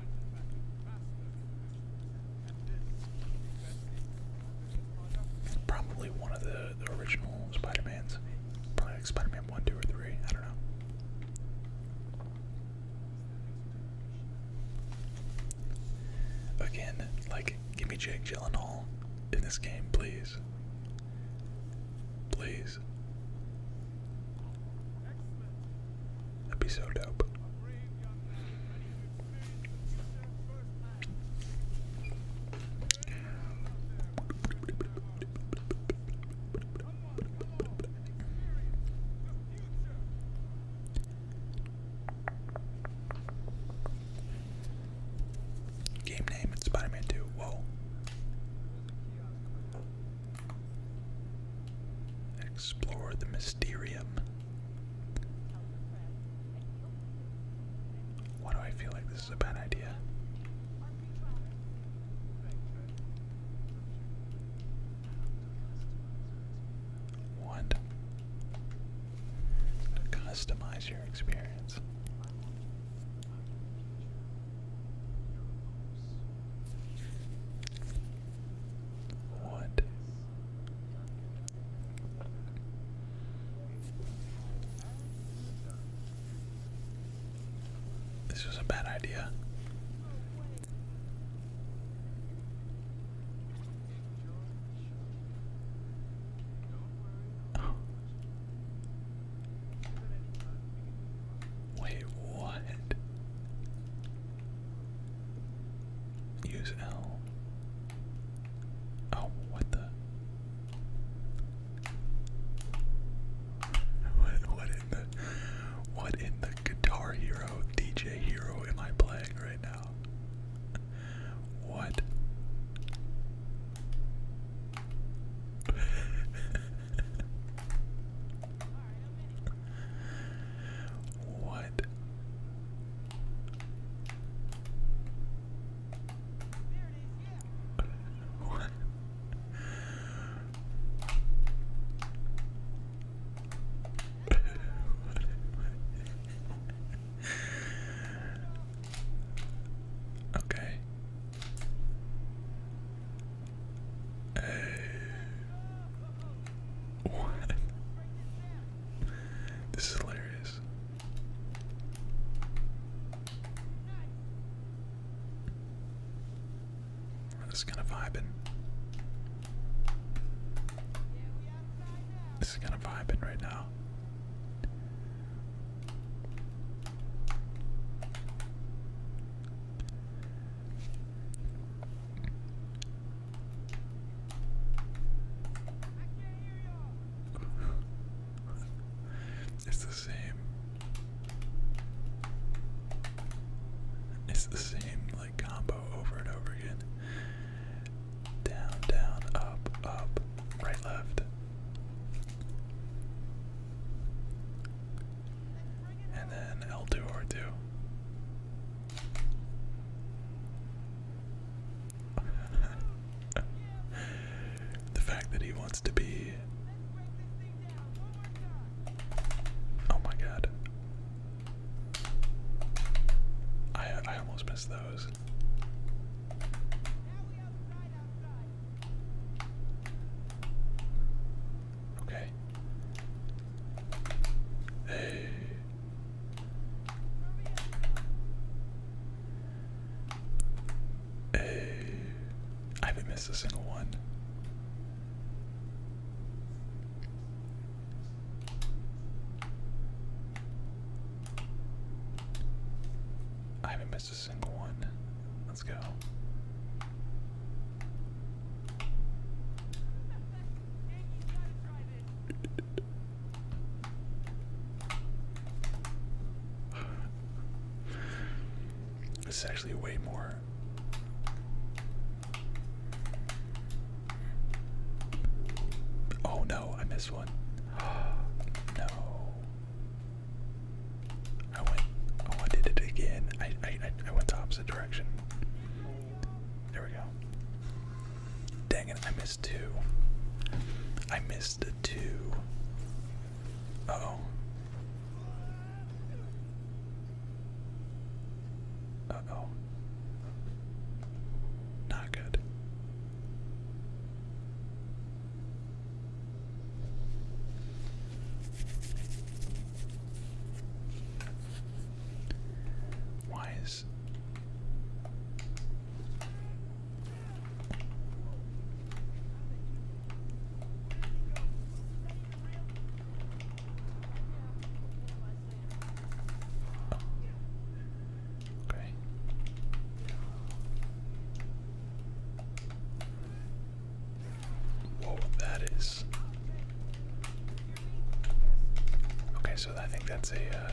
Probably one of the the original Spider-Mans, probably like Spider-Man one, two, or three. I don't know. Again, like, give me Jake Gyllenhaal in this game, please. Please. That'd be so dope. Game name, it's Spider-Man 2. Whoa. Explore the Mysterium. Why do I feel like this this is a bad idea. What? Customize your experience. What? This was a bad idea. Oh. Wait, what? Use L. Oh, what the? What, in the what in the Guitar Hero DJ Hero am I playing right now? What? what? what? okay. Uh, what? This is hilarious. We're just kind of vibing. This is kind of vibing right now. It's the same. It's the same like combo over and over again. Down, down, up, up, right, left. And then L2 R2. the fact that he wants to be. Oh my god. I I almost missed those. Okay. Hey. Uh, I haven't missed a single one. I haven't missed a single one. Let's go. This is actually way more. Oh no, I missed one. no. I went oh I did it again. I I I went the opposite direction. There we go. Dang it, I missed two. I missed the two. Uh-oh. oh Not good. Why is Okay. Whoa, that is. Okay, so I think that's a. Uh,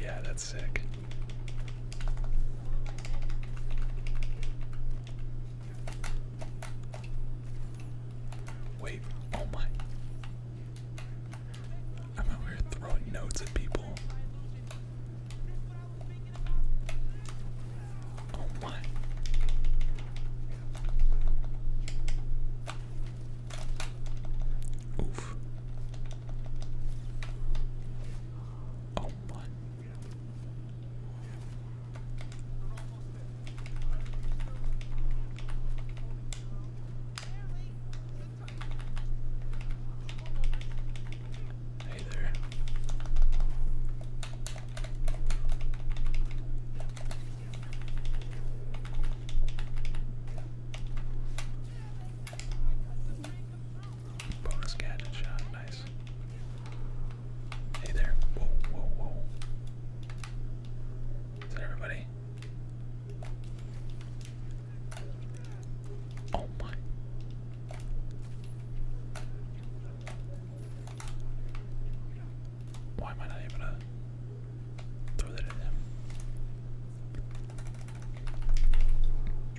Yeah, that's sick. Wait, oh my. I'm out here throwing notes at people. Oh my. Oof. Oh my. Hey there. Bonus gadget shot, nice. Hey there. Whoa, whoa, whoa. Is that everybody? Oh my. Why am I not able to throw that at him?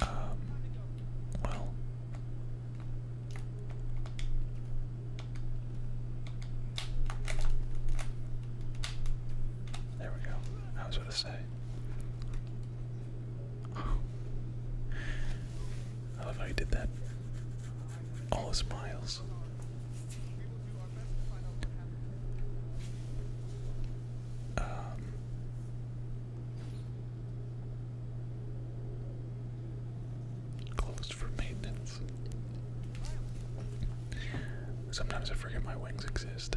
Um, well, there we go. I was going to say. I love how he did that. All his Um, Closed for maintenance. Sometimes I forget my wings exist.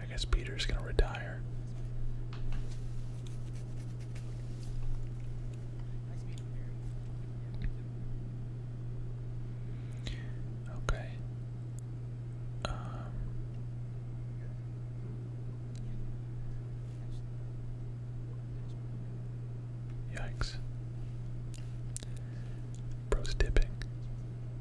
I guess Peter's gonna retire. Okay. Um, yikes. Bro's dipping.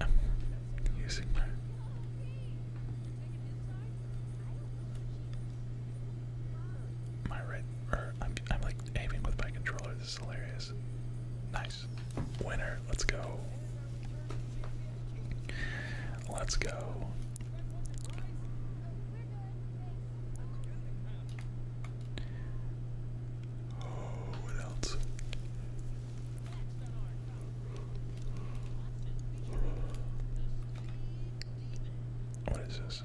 am using my. My right, or I'm, I'm like aiming with my controller. This is hilarious. Nice. Winner. Let's go. Let's go. what else? What is this?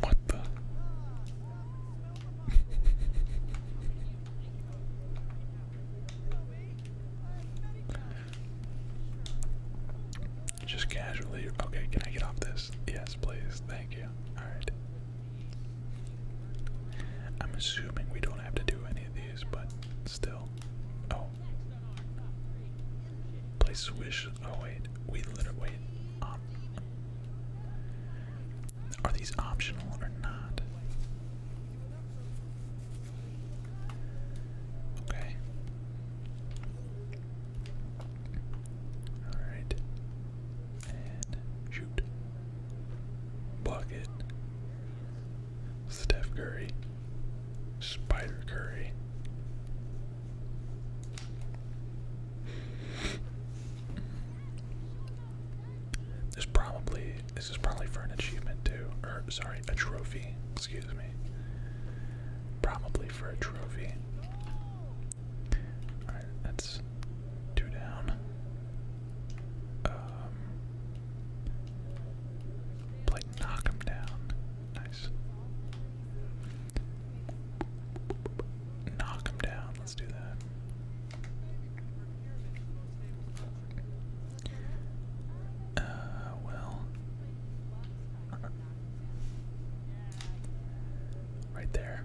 What the? Just casually. Okay, can I get off this? Yes, please. Thank you. All right. I'm assuming we don't have to do any of these, but still. Oh. Play Swish. Oh, wait. We literally. Wait. Um. are these optional or not? Okay. Alright. And shoot. Block Steph Curry. Spider Curry. This probably this is probably for an achievement too. Or sorry, a trophy. Excuse me. Probably for a trophy. Alright, that's two down. Um, knock him down. Nice. Knock him down. Let's do that. Uh, well. Right there.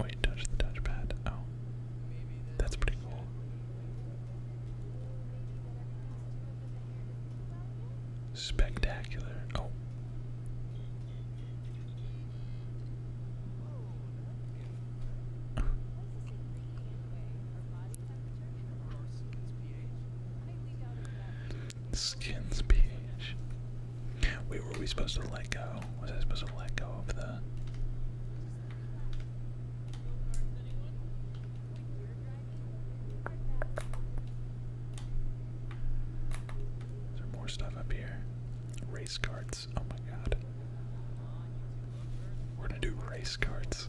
Wait, touch the touchpad. Oh, that's pretty cool. Spectacular. Oh. Skins pH. Wait, were we supposed to let go? Was I supposed to let go of the. Is there more stuff up here? Race cards! Oh my god. We're gonna do race carts.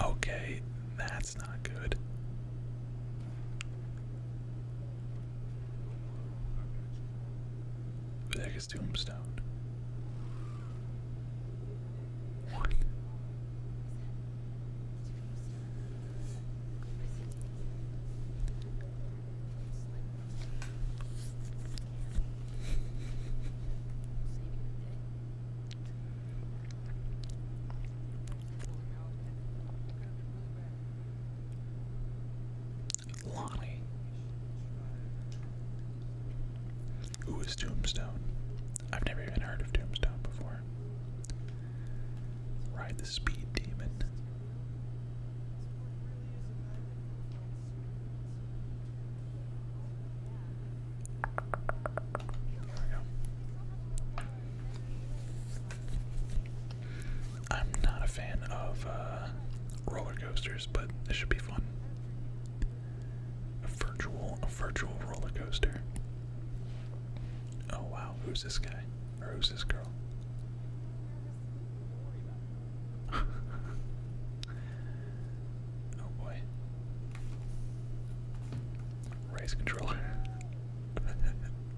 Okay, that that's not good. Who Tombstone? Lonnie. Who is Tombstone? I've never even heard of Tombstone before. Ride the Speed Demon. I'm not a fan of uh, roller coasters, but this should be fun. A virtual, a virtual roller coaster. Oh wow, who's this guy? Or who's this girl? oh boy. Race controller.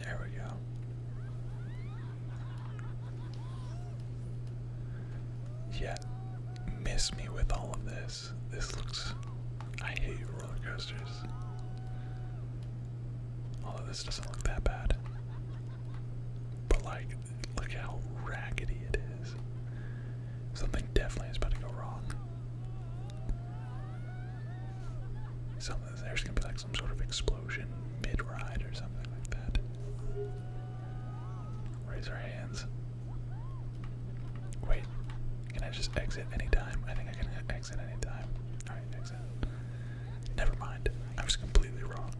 There we go. Yeah, miss me with all of this. This looks. I hate roller coasters. Although this doesn't look that bad. But, like, look how raggedy it is. Something definitely is about to go wrong. there's gonna be like some sort of explosion mid-ride or something like that. Raise our hands. Wait, can I just exit anytime? I think I can exit anytime. Alright, exit. Never mind. I was completely wrong.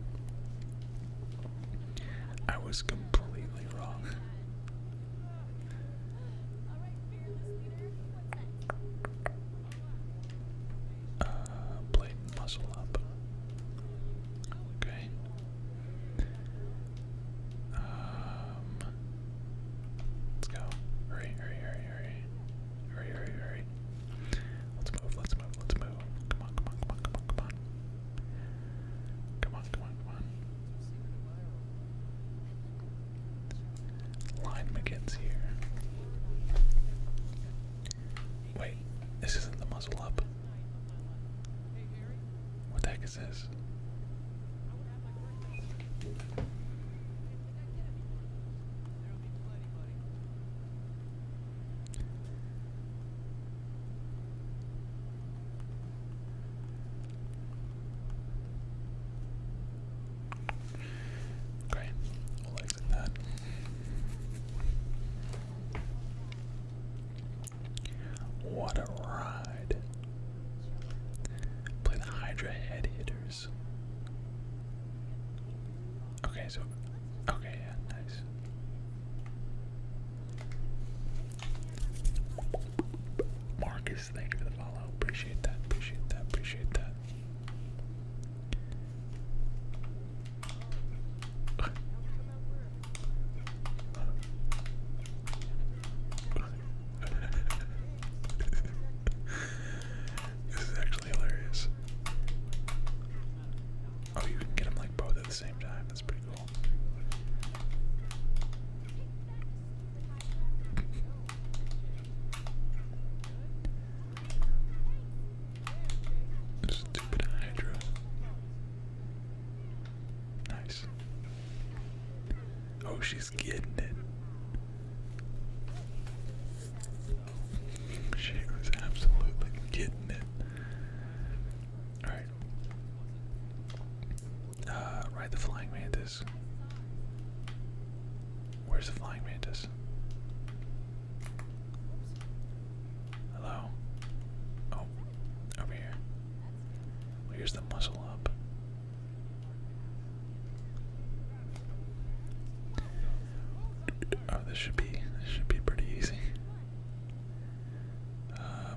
I was completely wrong. Uh, plate muscle up. Okay. Um, let's go. Hurry, hurry, hurry, hurry. Hurry, hurry, hurry. Let's move, let's move, let's move. Come on, come on, come on, come on, come on. Come on, come on, come on. Line McGinn's here. Wait, this isn't the muzzle up. What the heck is this? Okay, we'll that. What a ride! Play the Hydra head Okay, so okay, yeah, nice. Marcus Ace, for the follow. Appreciate that, appreciate that, appreciate that. this is actually hilarious. Oh, you can get them like both at the same time. That's pretty cool. Stupid Hydra. Nice. Oh, she's getting it. She was absolutely getting it. Alright, uh, ride the flying mantis. Where's the flying mantis? Hello? Oh, over here. here's the muzzle up. Oh, this should be this should be pretty easy. Um,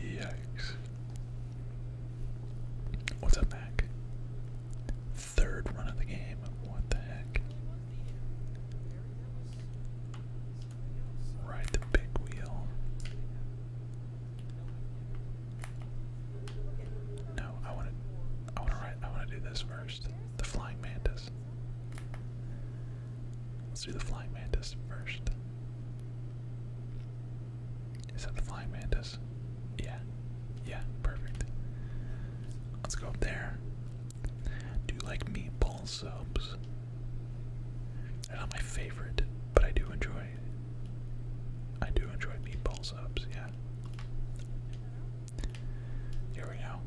Yikes. What's up, Mac? Third run of the game. What the heck? Ride the big wheel. No, I want to. I want to write. I want to do this first. The flying mantis. Let's do the flying mantis first. Is that the flying mantis? Yeah. Yeah. Perfect. Let's go up there. Do you like meatball subs? They're not my favorite, but I do enjoy I do enjoy meatball subs, yeah. Here we go.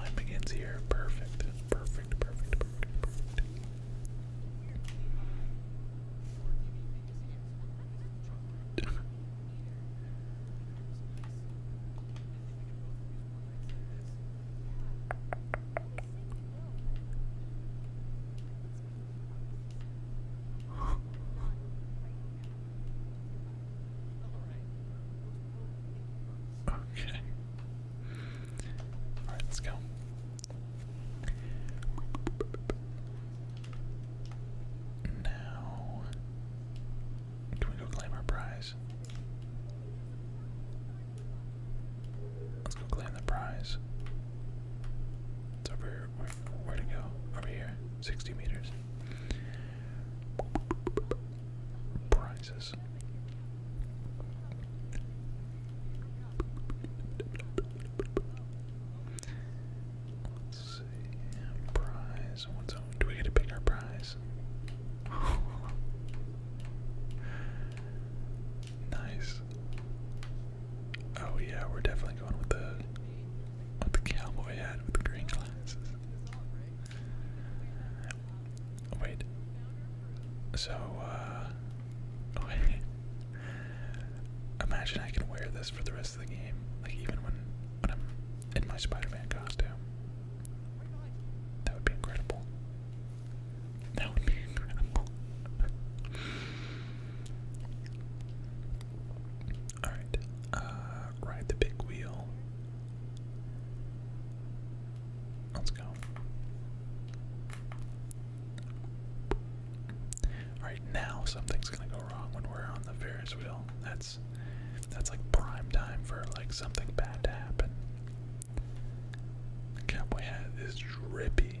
Line begins here. Perfect. Perfect, perfect, perfect, perfect. Okay. Alright, let's go. Now, can we go claim our prize? Let's go claim the prize. It's over here. Where, to go? Over here. 60 meters. Prizes. Do we get to pick prize? nice. Oh yeah, we're definitely going with the with the cowboy hat with the green glasses. Wait. So, uh. Imagine I can wear this for the rest of the game. Like, even when, when I'm in my Spider Man costume. That would be incredible. That would be incredible. Alright, uh, ride the big wheel. Let's go. Alright, now something's gonna go wrong when we're on the Ferris wheel. That's that's like prime time for like something bad to happen. Cowboy hat is drippy.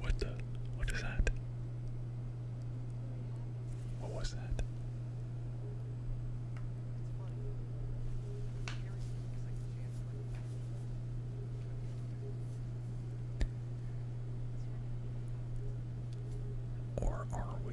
What the? What is that? What was that? Or are we?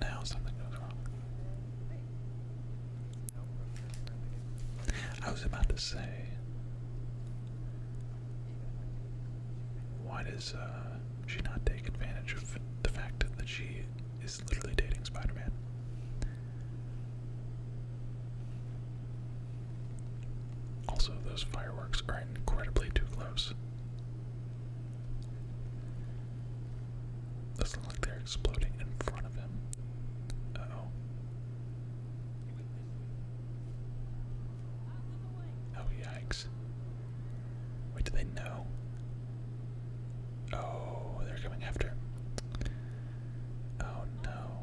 Now something goes wrong. I was about to say, why does uh, she not take advantage of the fact that she is literally dating Spider-Man? Also, those fireworks are incredibly too close. Doesn't look like they're exploding in front of him. oh. Oh, yikes. Wait, do they know? Oh, they're coming after. Oh, no.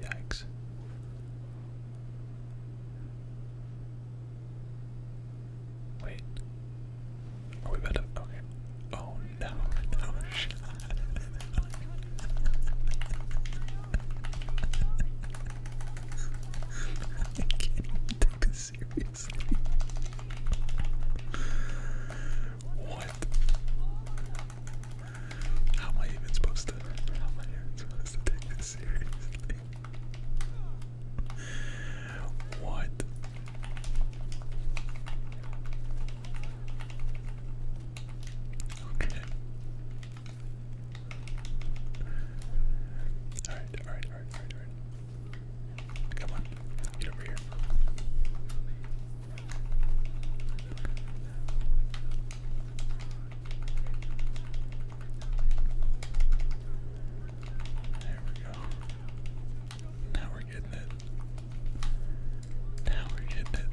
Yikes. Wait. Are we about Okay. Oh no, no shot. take this seriously. What? How am I even supposed to? How am I even supposed to take this seriously? What? Okay. Alright, alright, alright, alright, Come on, get over here. There we go. Now we're getting it. Now we're getting it.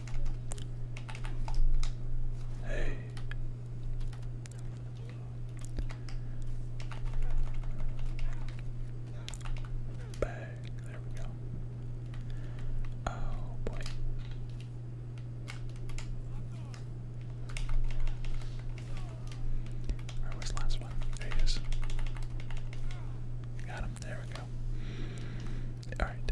Hey. Bang. There we go. Oh boy. Where was last one? There he is. Got him. There we go. Alright.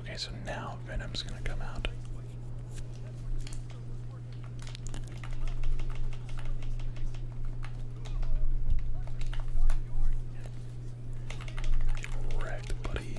Okay, so now Venom's gonna come out. Get wrecked, buddy.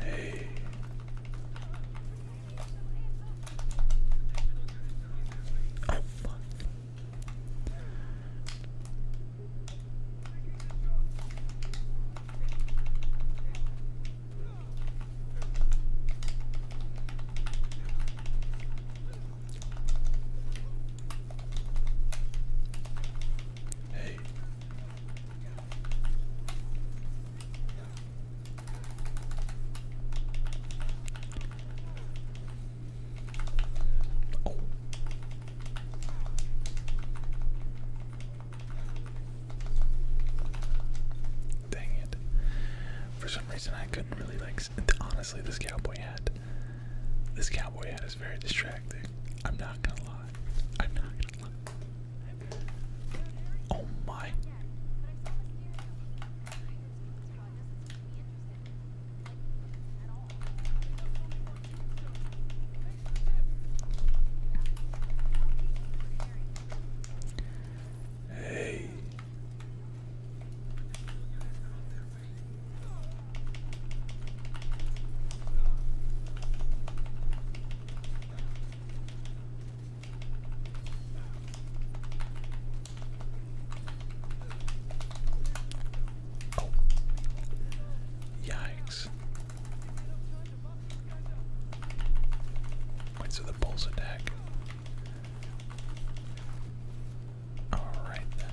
Hey. Oh, fuck. Hey. Oh. Dang it. For some reason I couldn't really like honestly this cowboy hat. This cowboy hat is very distracting. I'm not gonna lie. I'm not gonna lie. Oh my. Hey. Yikes. Wait, so the bulls attack. Alright then.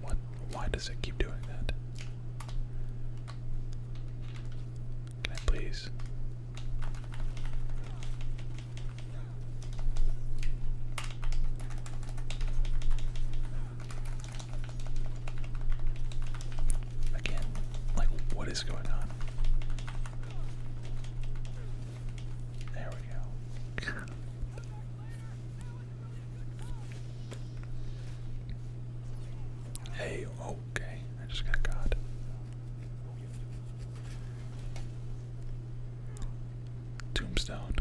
What? Why does it keep doing that? Can I please? Again, like what is going on? There we go. hey, okay. I just got caught. Tombstone.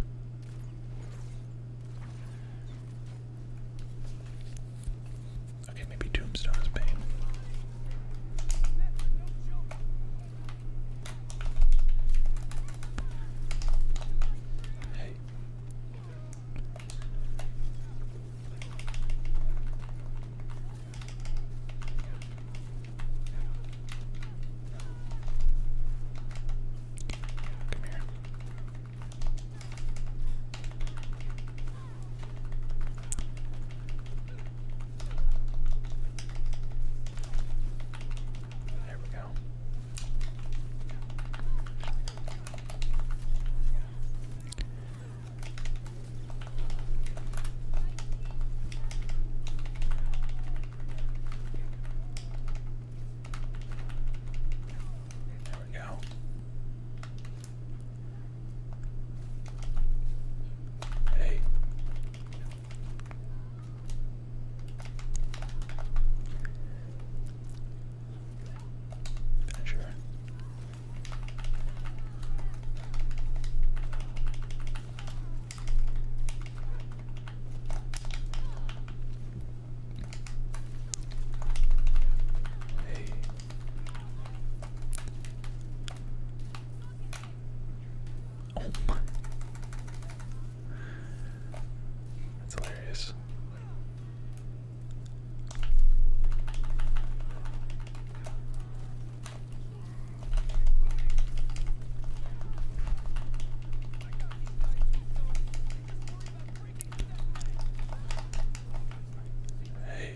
Okay, maybe Tombstone is pain. Hey. Come here. There we go. There we go. Hey, Sure. Hey. Oh my. That's hilarious. Hey.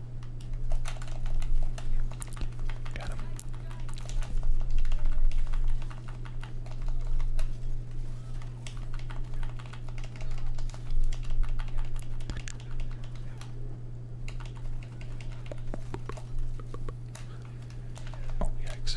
Got him. Oh, yikes.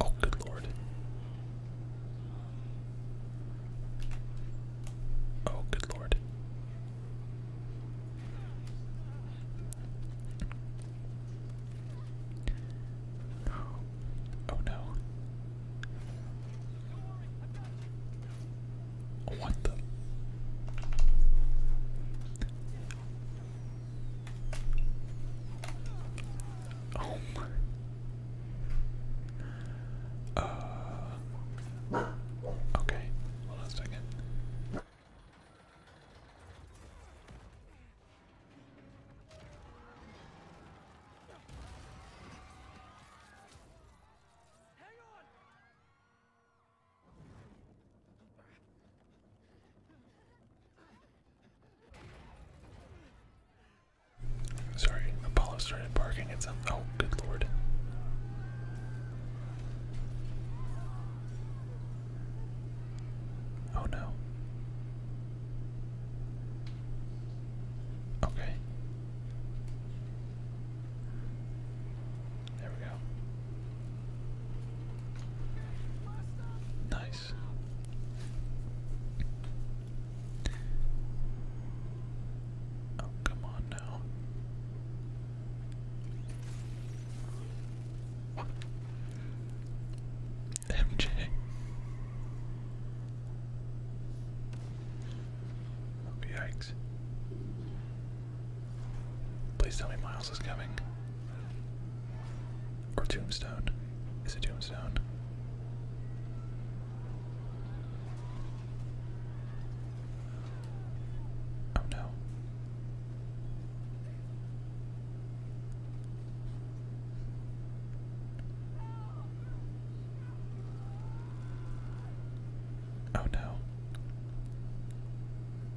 Oh, good lord. Oh, good lord. Oh no. What the? Oh my. Uh, okay, hold on a second. Sorry, Apollo started barking at Oh, good lord. Oh no. Okay. There we go. Nice. Oh, come on now. MJ. Oh, Please tell me Miles is coming. Or Tombstone. Is it Tombstone? Oh no. Oh no.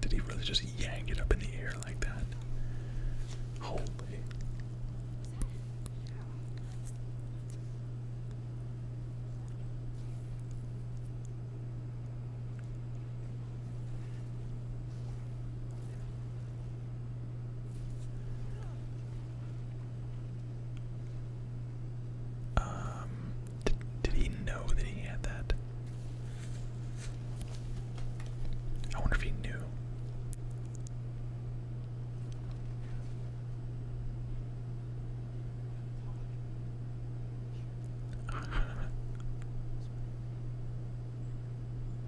Did he really just yank it up in the air like that? Holy. Um did, he know that he had that? I wonder if he knew.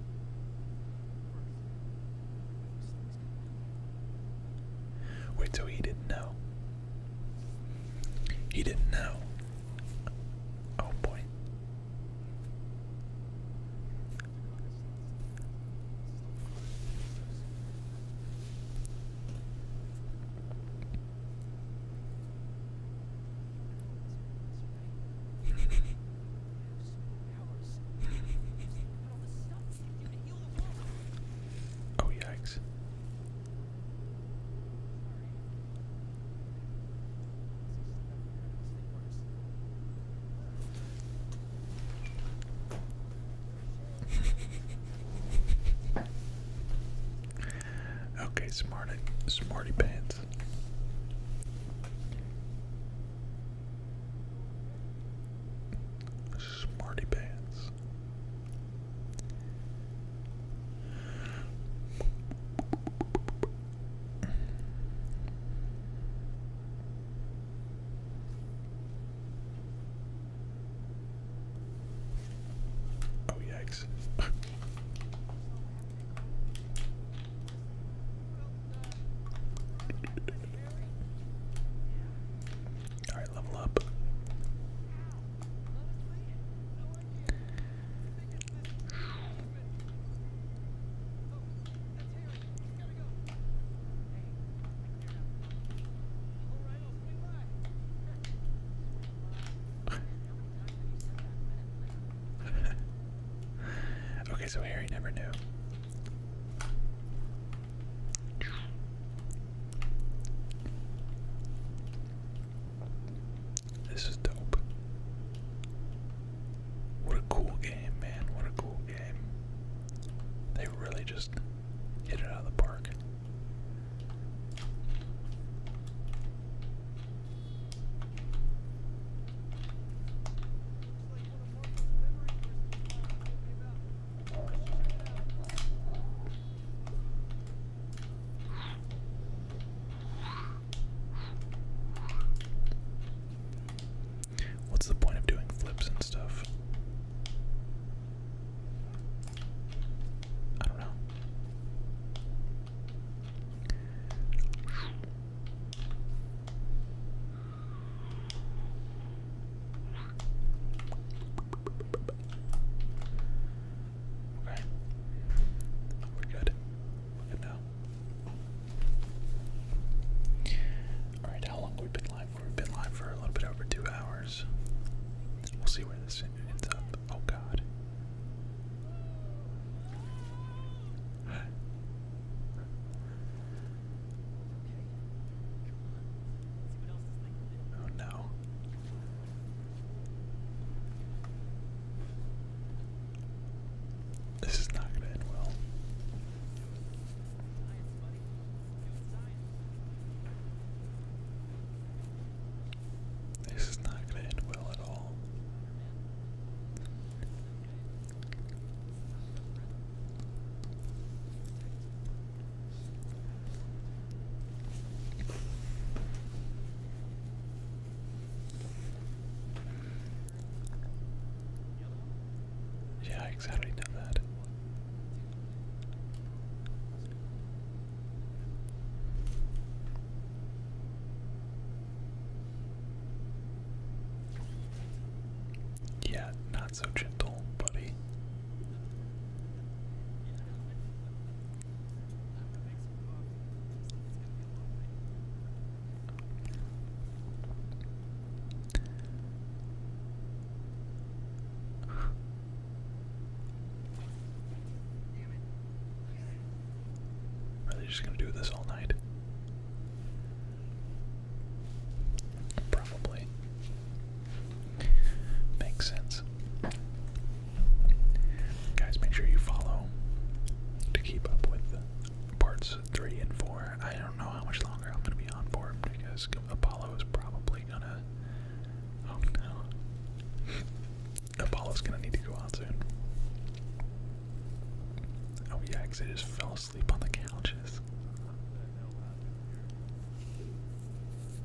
Wait, so he didn't know. He didn't know. Oh boy. oh, yikes. okay, smarty, smarty pants. Smarty pants. Oh, yikes. All right, level up. okay, so Harry never knew. This is dope. What a cool game, man. What a cool game. They really just hit it out of the park. What's the point of doing flips and stuff? I don't know. Okay. We're good. We're good now. Alright, how long have been live We've been live for a little bit over two hours. We'll see where this ends up. Oh god. Oh no. This is not going to end well. This is not going to end well at all. Yeah, exactly that. Yeah, not so gentle, buddy. Are they just gonna do this all night? Probably. Makes sense. Guys, make sure you follow to keep up with parts three and four. I don't know how much longer I'm going to be on for because Apollo is probably going to. Oh no. Apollo's going to need to go out soon. Oh, yeah, because I just fell asleep on the couches.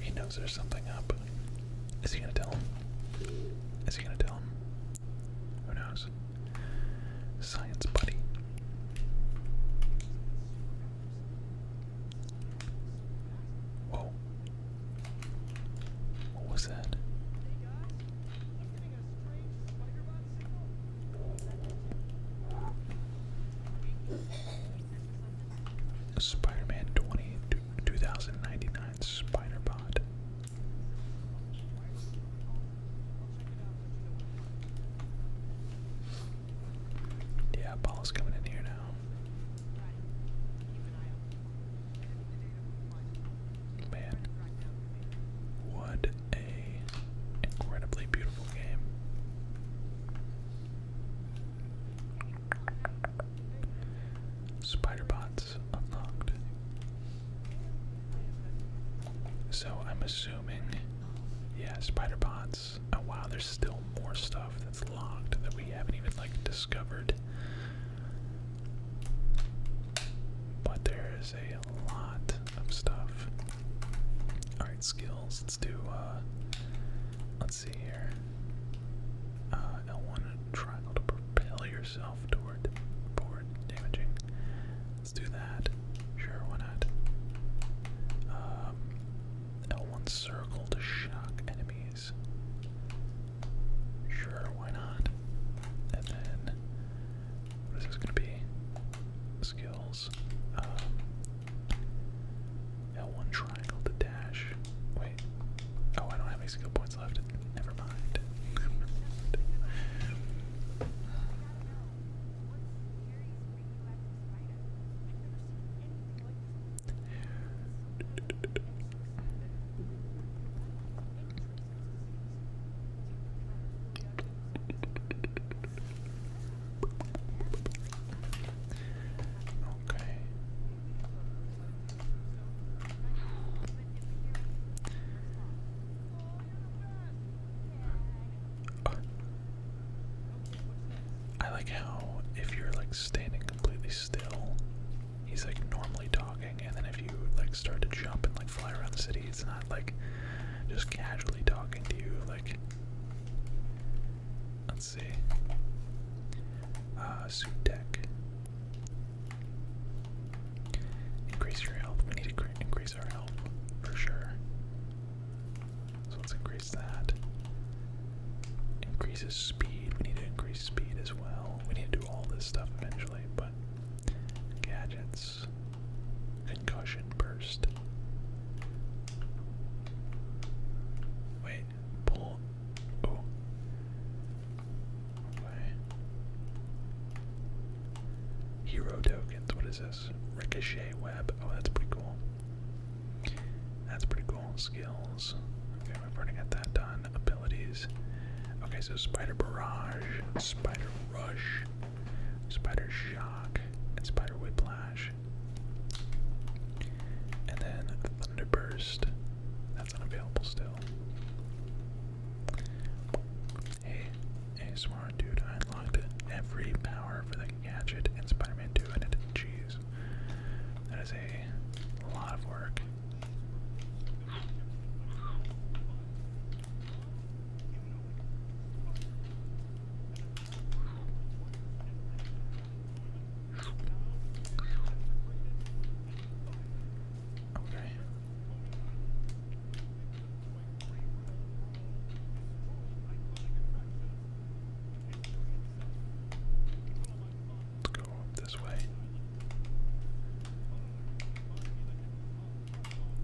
He knows there's something up. Is he gonna tell him? Is he gonna tell him? Who knows? Science buddy. Whoa. What was that? Spider-Man 20 2099 Spider-Pod. Yeah, Paul's coming in here now. Man, what a incredibly beautiful game. Spider unlocked. So I'm assuming, yeah, spider bots. Oh wow, there's still more stuff that's locked that we haven't even like discovered. But there is a lot of stuff. All right, skills. Let's do. uh Let's see here. Uh, L1 triangle to propel yourself toward forward damaging. Let's do that. Sure, why not? Um, L1 circle to shock enemies. Sure, why not? And then, what is this gonna be? Skills. Um, L1 triangle to dash. Wait. Oh, I don't have any skill points left. Never mind. Okay. I like how if you're like standing completely still, he's like normally talking, and then if you like start to jump and like fly around the city, it's not like just casually talking to you. Like, uh, suit deck. Increase your health. We need to increase our health for sure. So let's increase that. Increases speed. We need to increase speed as well. We need to do all this stuff eventually, but gadgets, concussion burst. Wait, pull Oh. Okay. Hero tokens. What is this? Ricochet web. Oh, that's pretty cool. That's pretty cool. Skills. Okay, we've already got that done. Abilities. Okay, so spider barrage, spider rush, spider shock, and spider whiplash. And then thunder burst. That's unavailable still. Hey, ASMR dude, I unlocked every power for the gadget in Spider-Man 2 and it jeez. That is a lot of work. Okay. Let's go this way.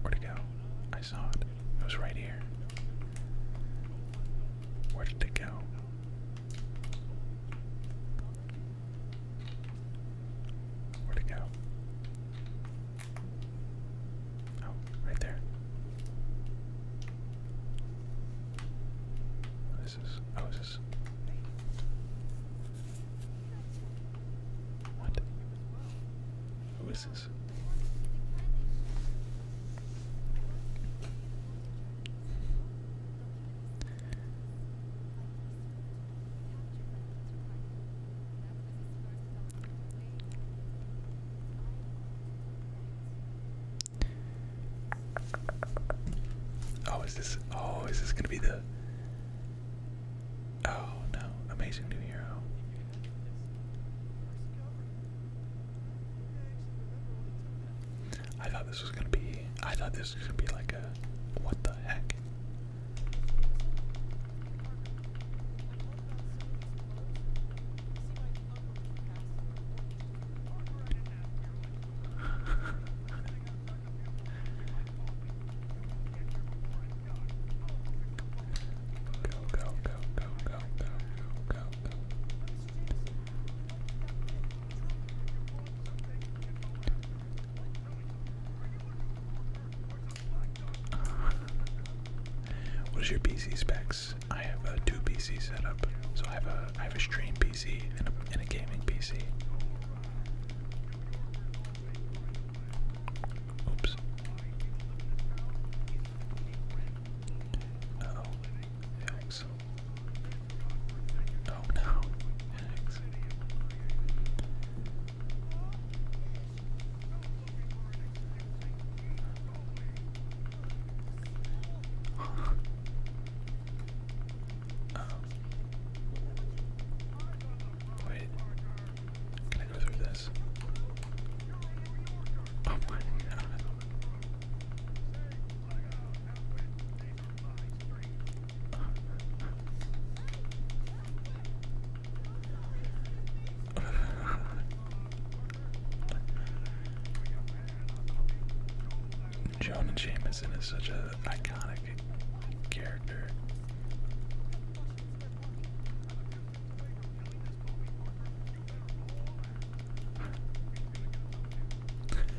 Where'd it go? I saw it. It was right here. Where did it go? where to go? Oh, right there. This is. this oh, What? Who is this? Oh, is this? Oh, is this gonna be the? Oh no! Amazing new hero. I thought this was gonna be. I thought this was gonna be like a. What the heck? go, go, go, go, go, go, go, go, what is your PC specs? I have a two PC setup, so I have a I have a stream PC and a, gaming PC. Oops. Phoenix. Oh no, wait, can I go through this? Oh my and Jameson is such an iconic character.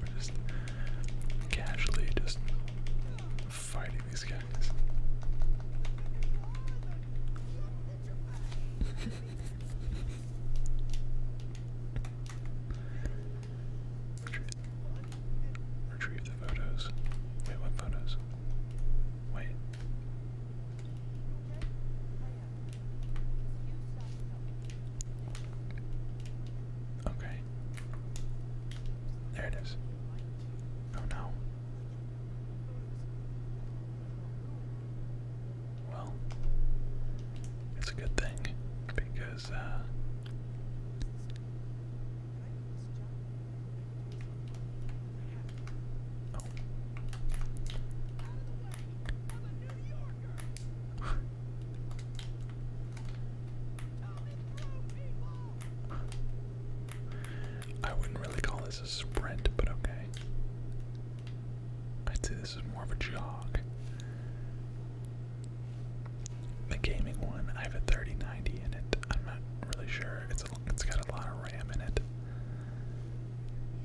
We're just casually just fighting these guys. retrieve, the photos. Wait, what photos? Wait. Okay. There it is. Oh no. Well, it's a good thing because, uh, I wouldn't really call this a sprint, but okay. I'd say this is more of a jog. The gaming one, I have a 3090 in it. I'm not really sure. It's it's got a lot of RAM in it.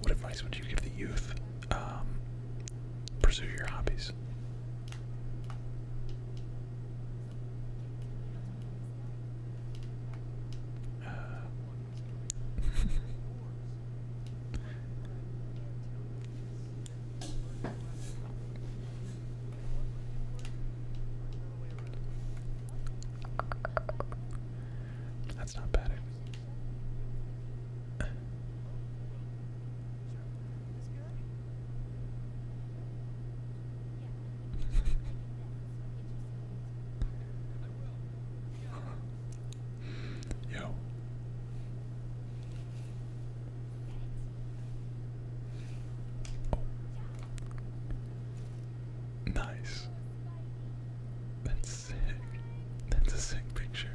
What advice would you give the youth? Um, pursue your hobbies. That's not bad. Yo. Nice. That's that's a sick picture.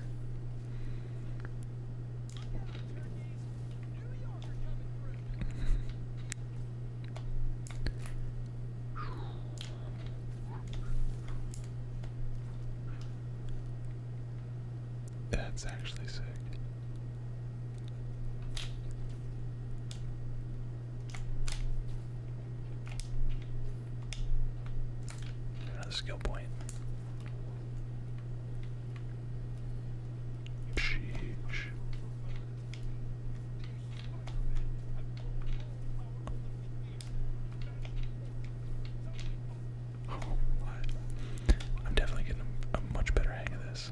That's actually sick skill point. I'm definitely getting a much better hang of this.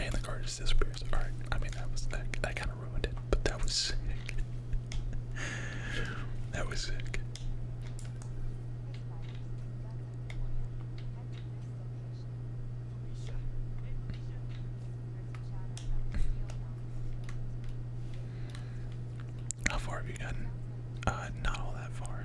and the card just disappears. All right, I mean that was that, kind of ruined it, but that was sick. that was sick. How far have you gotten? Uh, not all that far.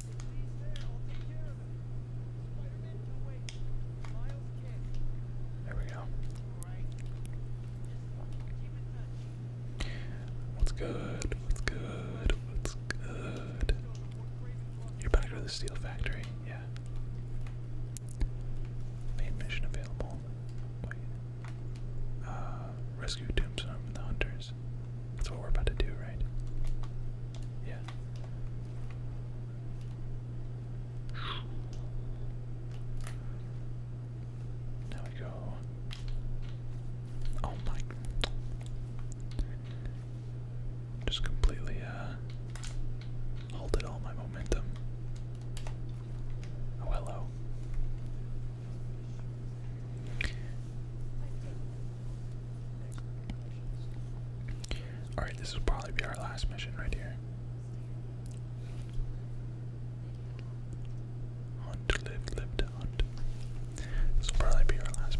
There we go. What's good? What's good? What's good? You're back to the steel factory, yeah. Main mission available. Uh, rescue Tombstone from the Hunters. That's what we're about to do, right? Yeah. Now we go. Oh my. Just completely uh halted all my momentum. Oh hello. Alright, this will probably be our last mission right here. Hunt, live, live to hunt. This will probably be our last mission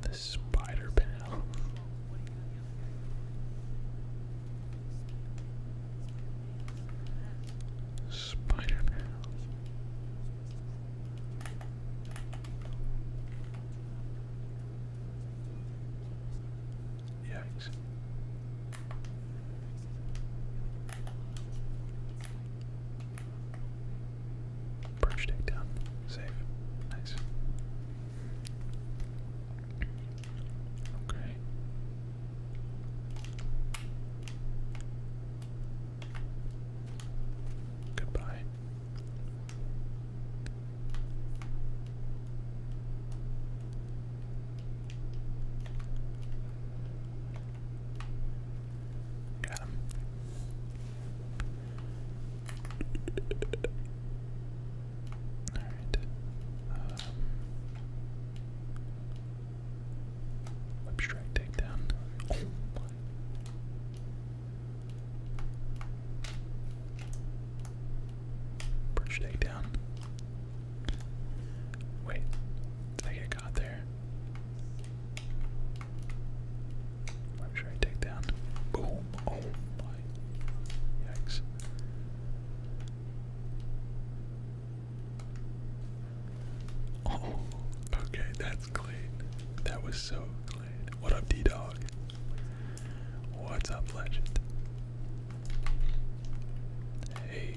The spider Man. Spider pal. Yikes. Perch takedown. Safe. Nice. Okay. Goodbye. Got him. All right. Um, takedown. Oh my. Perch Wait, did I get caught there? I'm sure I take down. Boom. Oh my. Yikes. Oh, okay, that's clean. That was so clean. What up, D Dog? What's up, Legend? Hey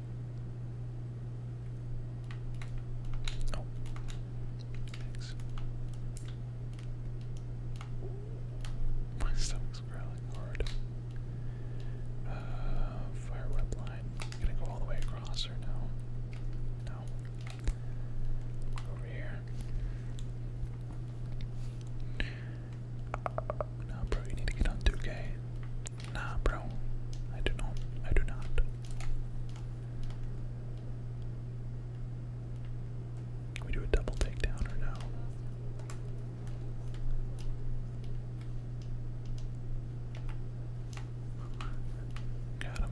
Oh. Thanks. My growling hard. Uh, fire web gonna go all the way across or no? No. Over here. Uh, no, bro, you need to get on 2K. Nah, bro. I do not. I do not. We do a double takedown or no? Got him.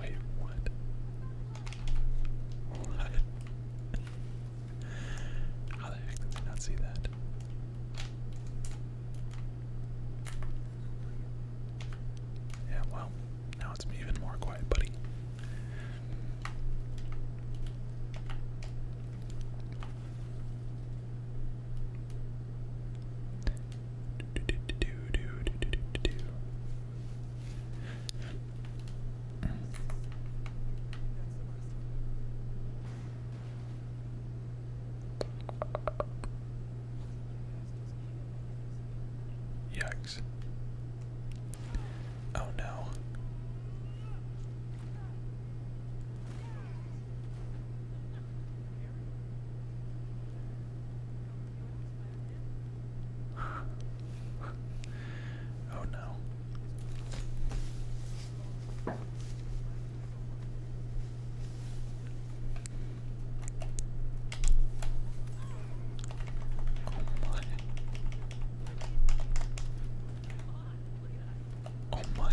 Wait, what? What? How the heck did I not see that? Yeah, well, now it's even more quiet, buddy. Yikes. Oh no oh no. Oh my. Oh my.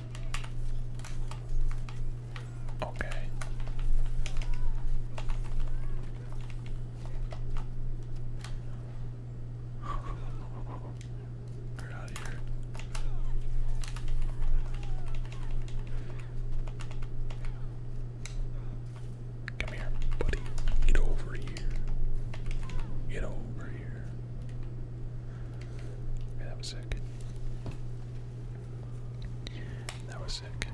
Okay. we out of here. Come here, buddy. Get over here. Get over here that was sick. That was sick.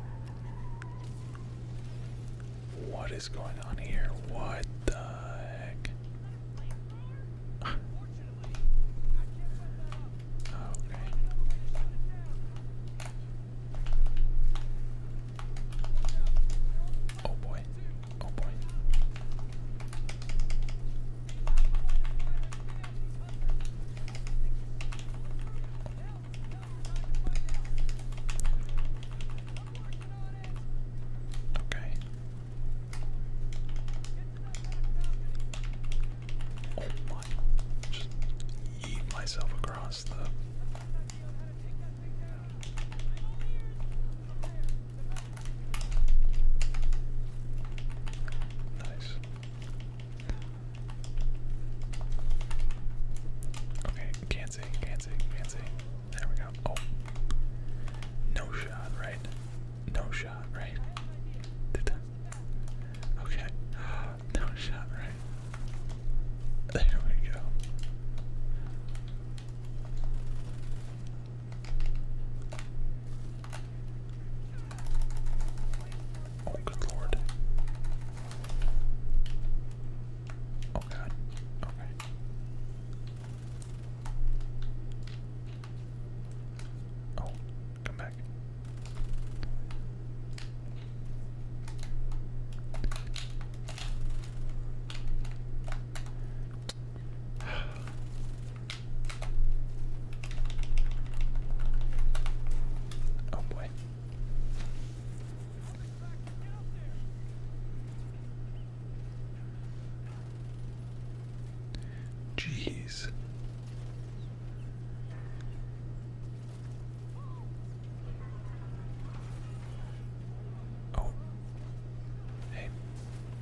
What is going on here? What the heck? Oh, okay. Oh boy. Oh boy. Okay. Oh my. Just eat myself across the Nice. Okay, can't see, There we go. Oh. No shot, right? No shot, right? Did I? Okay. No shot, right? There we go. Oh, good lord. Oh god. Okay. Oh, come back. Oh boy. Jeez. Oh. Hey.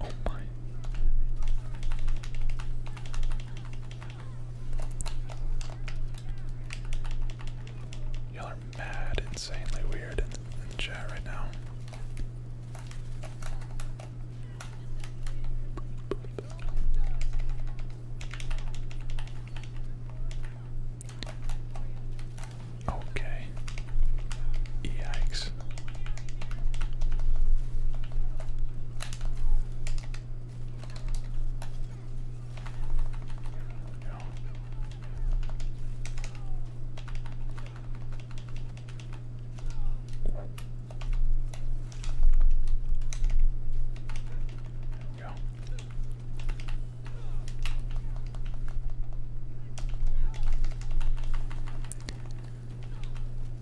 Oh Y'all are mad, insanely weird in, in chat right now. Okay. Yikes.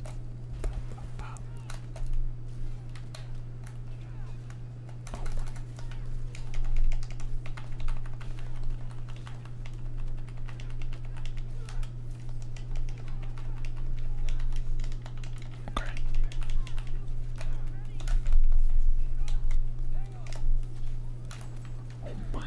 Pop, pop, pop. Oh my. Okay. Oh my.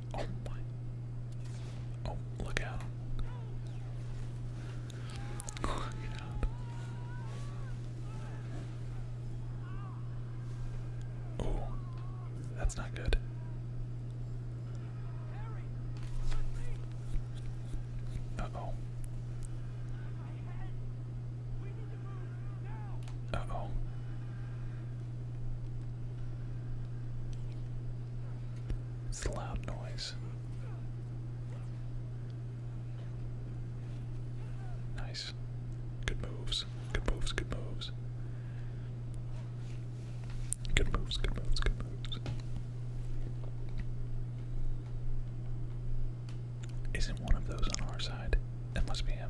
Oh my. Oh, look out. Look out. Oh, that's not good. Uh oh. Uh oh. It's a loud noise. Nice. Good moves. Good moves. Good moves. Good moves. Good moves. Good moves. Isn't one of those on our side? That must be him.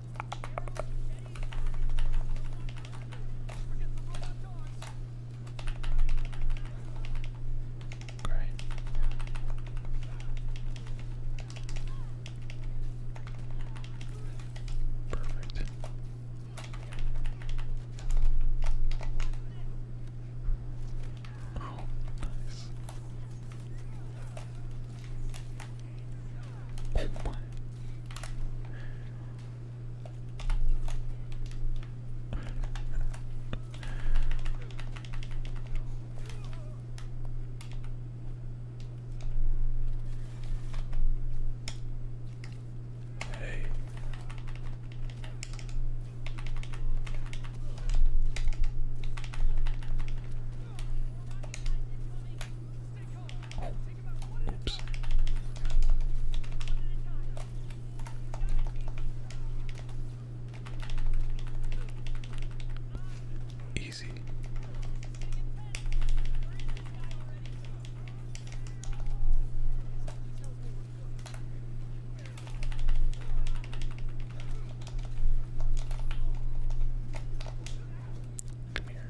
Great. Perfect. Oh, nice. Boom. Hey. Oops. Easy. Come here.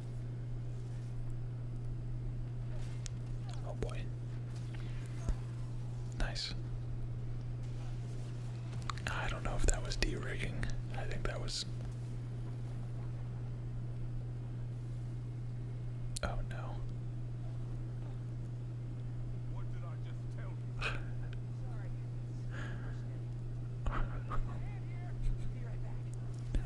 Oh boy. Nice. I don't know if that was de I think that was. Oh no.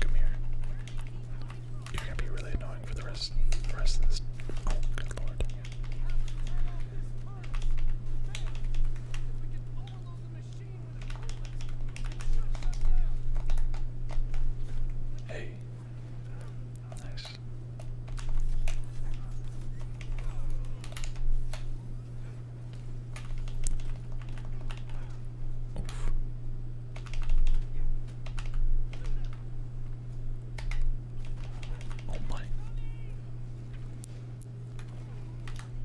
Come here. You're gonna be really annoying for the rest, the rest of this. Oh, good lord. Hey. Nice. Oh my.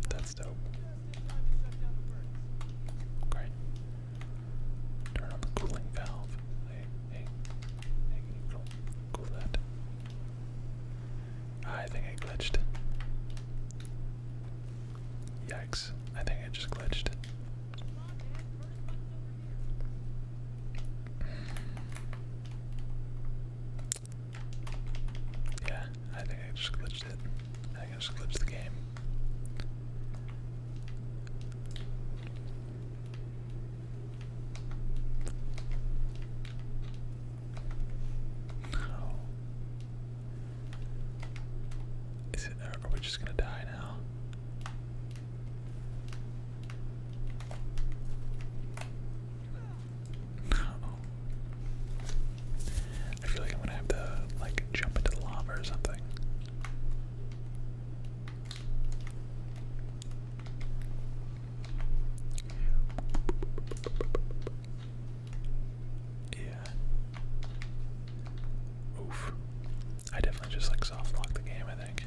That's dope. Okay. Turn on the cooling valve. Hey, hey, hey, cool that. I think I glitched. Yikes, I think I just glitched. Yeah, I think I just glitched it. I just glitched the game. Oh. Is it, are we just gonna die now? I feel like I'm gonna have to like jump into the lava or something. Yeah. Oof. I definitely just like soft locked the game, I think.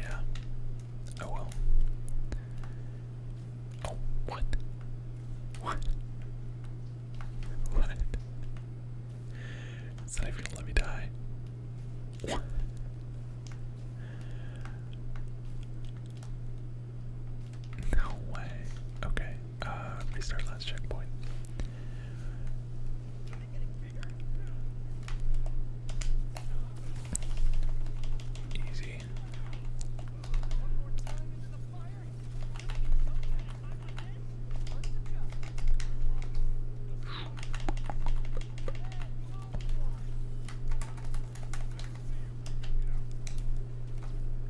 Yeah. Oh well. Oh, what? What? What? It's not even gonna let me die. What? No way. Okay. Uh, restart last checkpoint. Easy.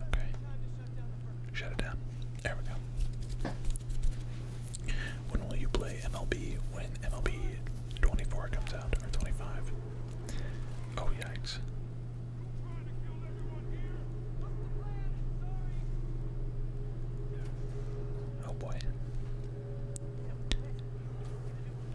Okay. Shut it down. There we go. When will you play MLB? When MLB 24 comes out, or 25? Oh, yikes. Oh boy.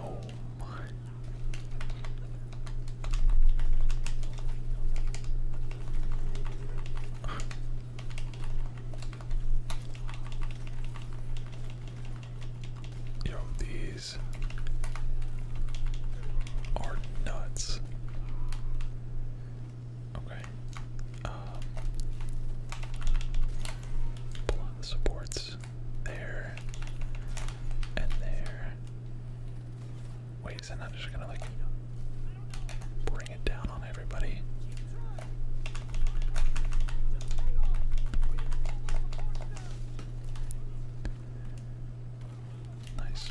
Oh my. Yo, these are nuts. Okay. Um, pull out the supports there, and there. Wait, is that not just gonna like bring it down on everybody? Nice.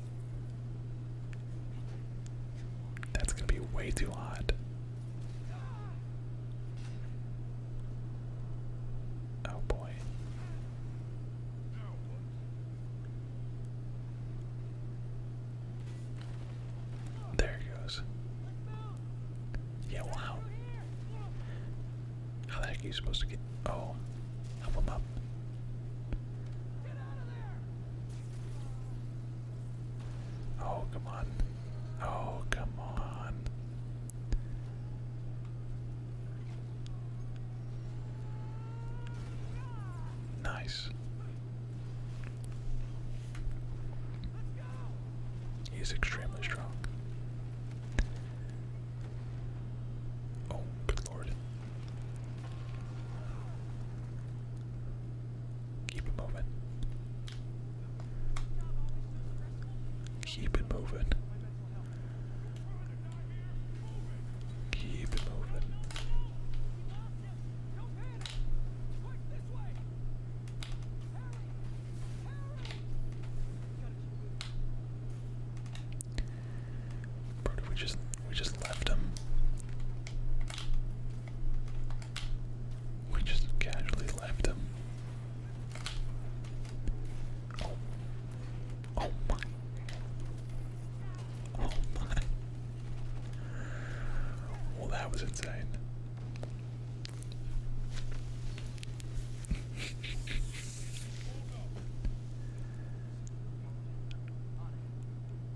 That's gonna be way too hot. Oh boy. There it goes. Yeah, wow. How the heck are you supposed to get. Oh, Help him up. Oh, come on. Oh, come on. Nice. He's extremely strong. Oh, good lord. Keep it moving. Keep it moving. Keep it moving. Bro, we just we just left him. We just casually left him. Oh. Oh my. Oh my. Well, that was insane.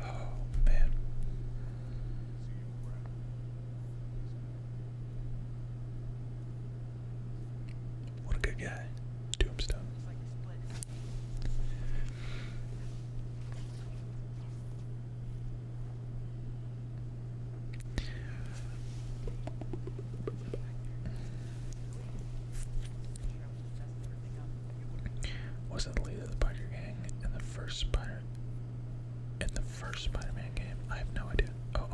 Oh, man. What a good guy. Tombstone. Was not the lead of the Biker Gang in the first Spider in the first Spider-Man game? I have no idea. oh.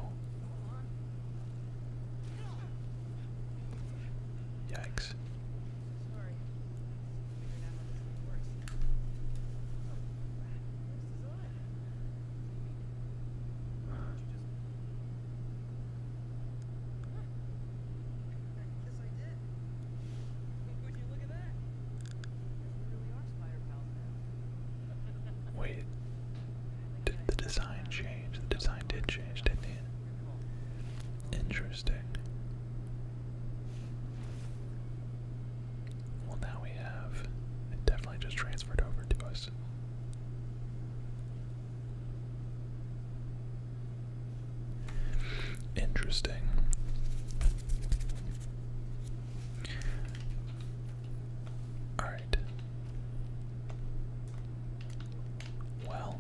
Yikes. Wait, did the design change? The design did change, didn't it? Interesting. Well, now we have. It definitely just transferred over to us. Interesting. All right. Well.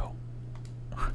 Oh.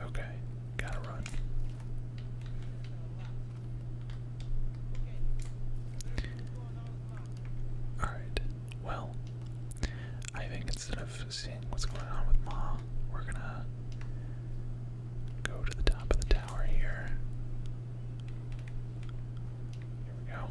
Okay, gotta run. Alright, well, I think instead of seeing what's going on with Ma, we're gonna go to the top of the tower here. Here we go.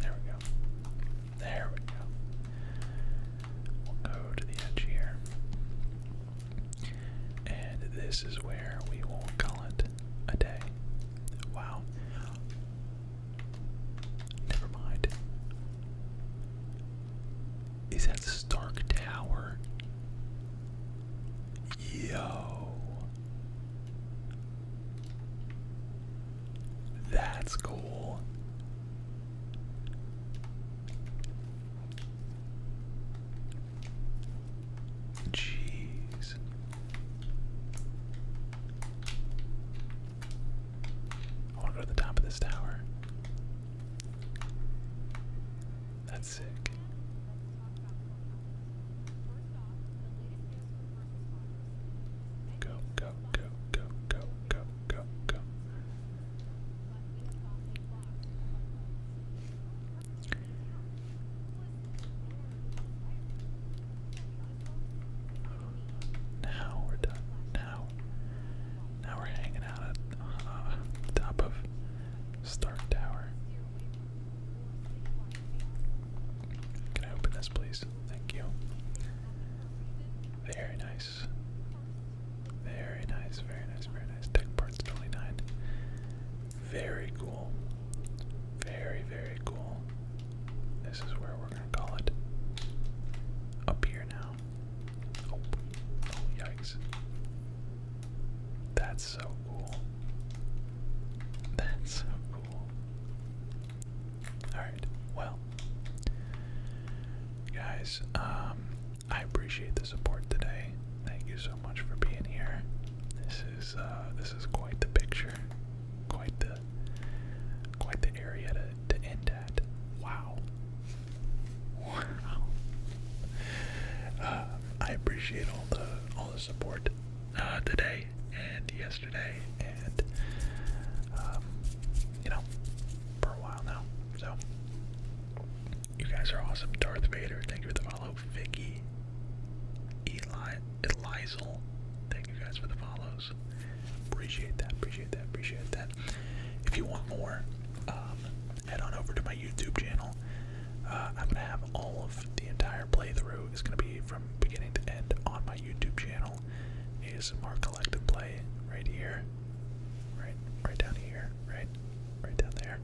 There we go. There we go. We'll go to the edge here. And this is where we will call it a day. Wow. Never mind is that Stark Tower. Yo. That's cool. Jeez. I want go to the top of this tower. That's it. Go, go, go, go, go, go, go, go. Now we're done. Now, now we're hanging out at uh, top of Stark Tower. Can I open this, please? Thank you. Very nice. Very nice, very nice, very nice. Tech parts 29. Very cool. Very, very cool. This is where we're gonna call it. Up here now. oh, oh yikes. That's so cool. That's so cool. Alright, well. Guys, um, I appreciate the support today. Thank you so much for being here. This is uh, this is quite the picture. Quite the quite the area to end at. Wow. Wow. Uh, I appreciate all the all the support uh, today and yesterday and um, you know for a while now. So you guys are awesome. Darth Vader, thank you for the follow. Vicky, Eli, Elizal. thank you guys for the follows. Appreciate that. Appreciate that. Appreciate that. If you want more, um, head on over to my YouTube channel. Uh, I'm gonna have all of the entire playthrough is gonna be from beginning to end on my YouTube channel. ASMR Collective Play right here, right, right down here, right, right down there,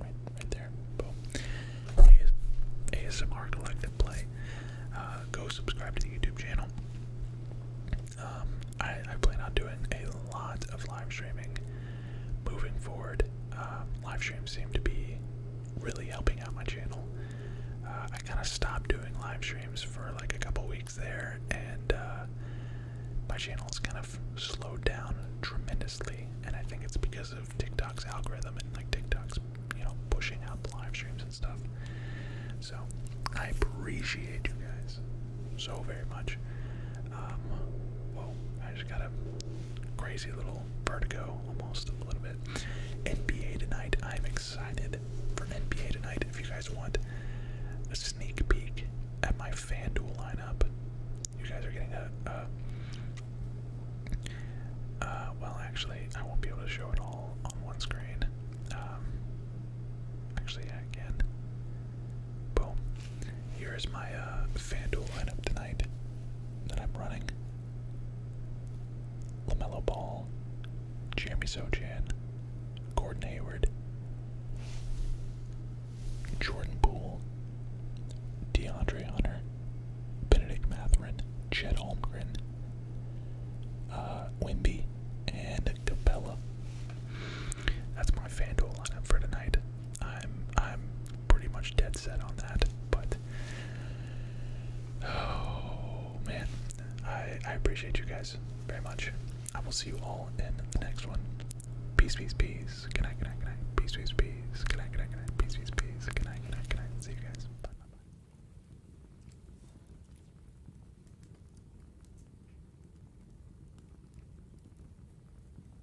right, right there. Boom. ASMR Collective Play. Uh, go subscribe to the YouTube channel. Um, I, plan on doing a lot of live streaming moving forward. Um, live streams seem to be really helping out my channel. Uh, I kind of stopped doing live streams for like a couple weeks there, and uh, my channel channel's kind of slowed down tremendously. And I think it's because of TikTok's algorithm and like TikTok's, you know, pushing out the live streams and stuff. So I appreciate you guys so very much. Um, whoa, I just got a crazy little vertigo almost a little bit. NBA tonight, I'm excited for NBA tonight. If you guys want a sneak peek at my FanDuel lineup, you guys are getting a. Uh, well, actually, I won't be able to show it all on one screen. Um, actually, I can. Boom. Here is my uh, FanDuel lineup tonight that I'm running. LaMelo Ball, Jeremy Sochan, Gordon Hayward, Jordan Poole, DeAndre Hunter, Benedict Mathurin, Chet Holmgren, uh, Wimby, and Capella. That's my FanDuel lineup for tonight. I'm I'm pretty much dead set on that. But oh man, I I appreciate you guys very much. I will see you all in the next one. Peace, peace, peace. Good night, good night, good night. Peace, peace, peace. Good night, good night, good night. Peace, peace, peace. Good night, good night, good night. See you guys. Bye, bye, bye.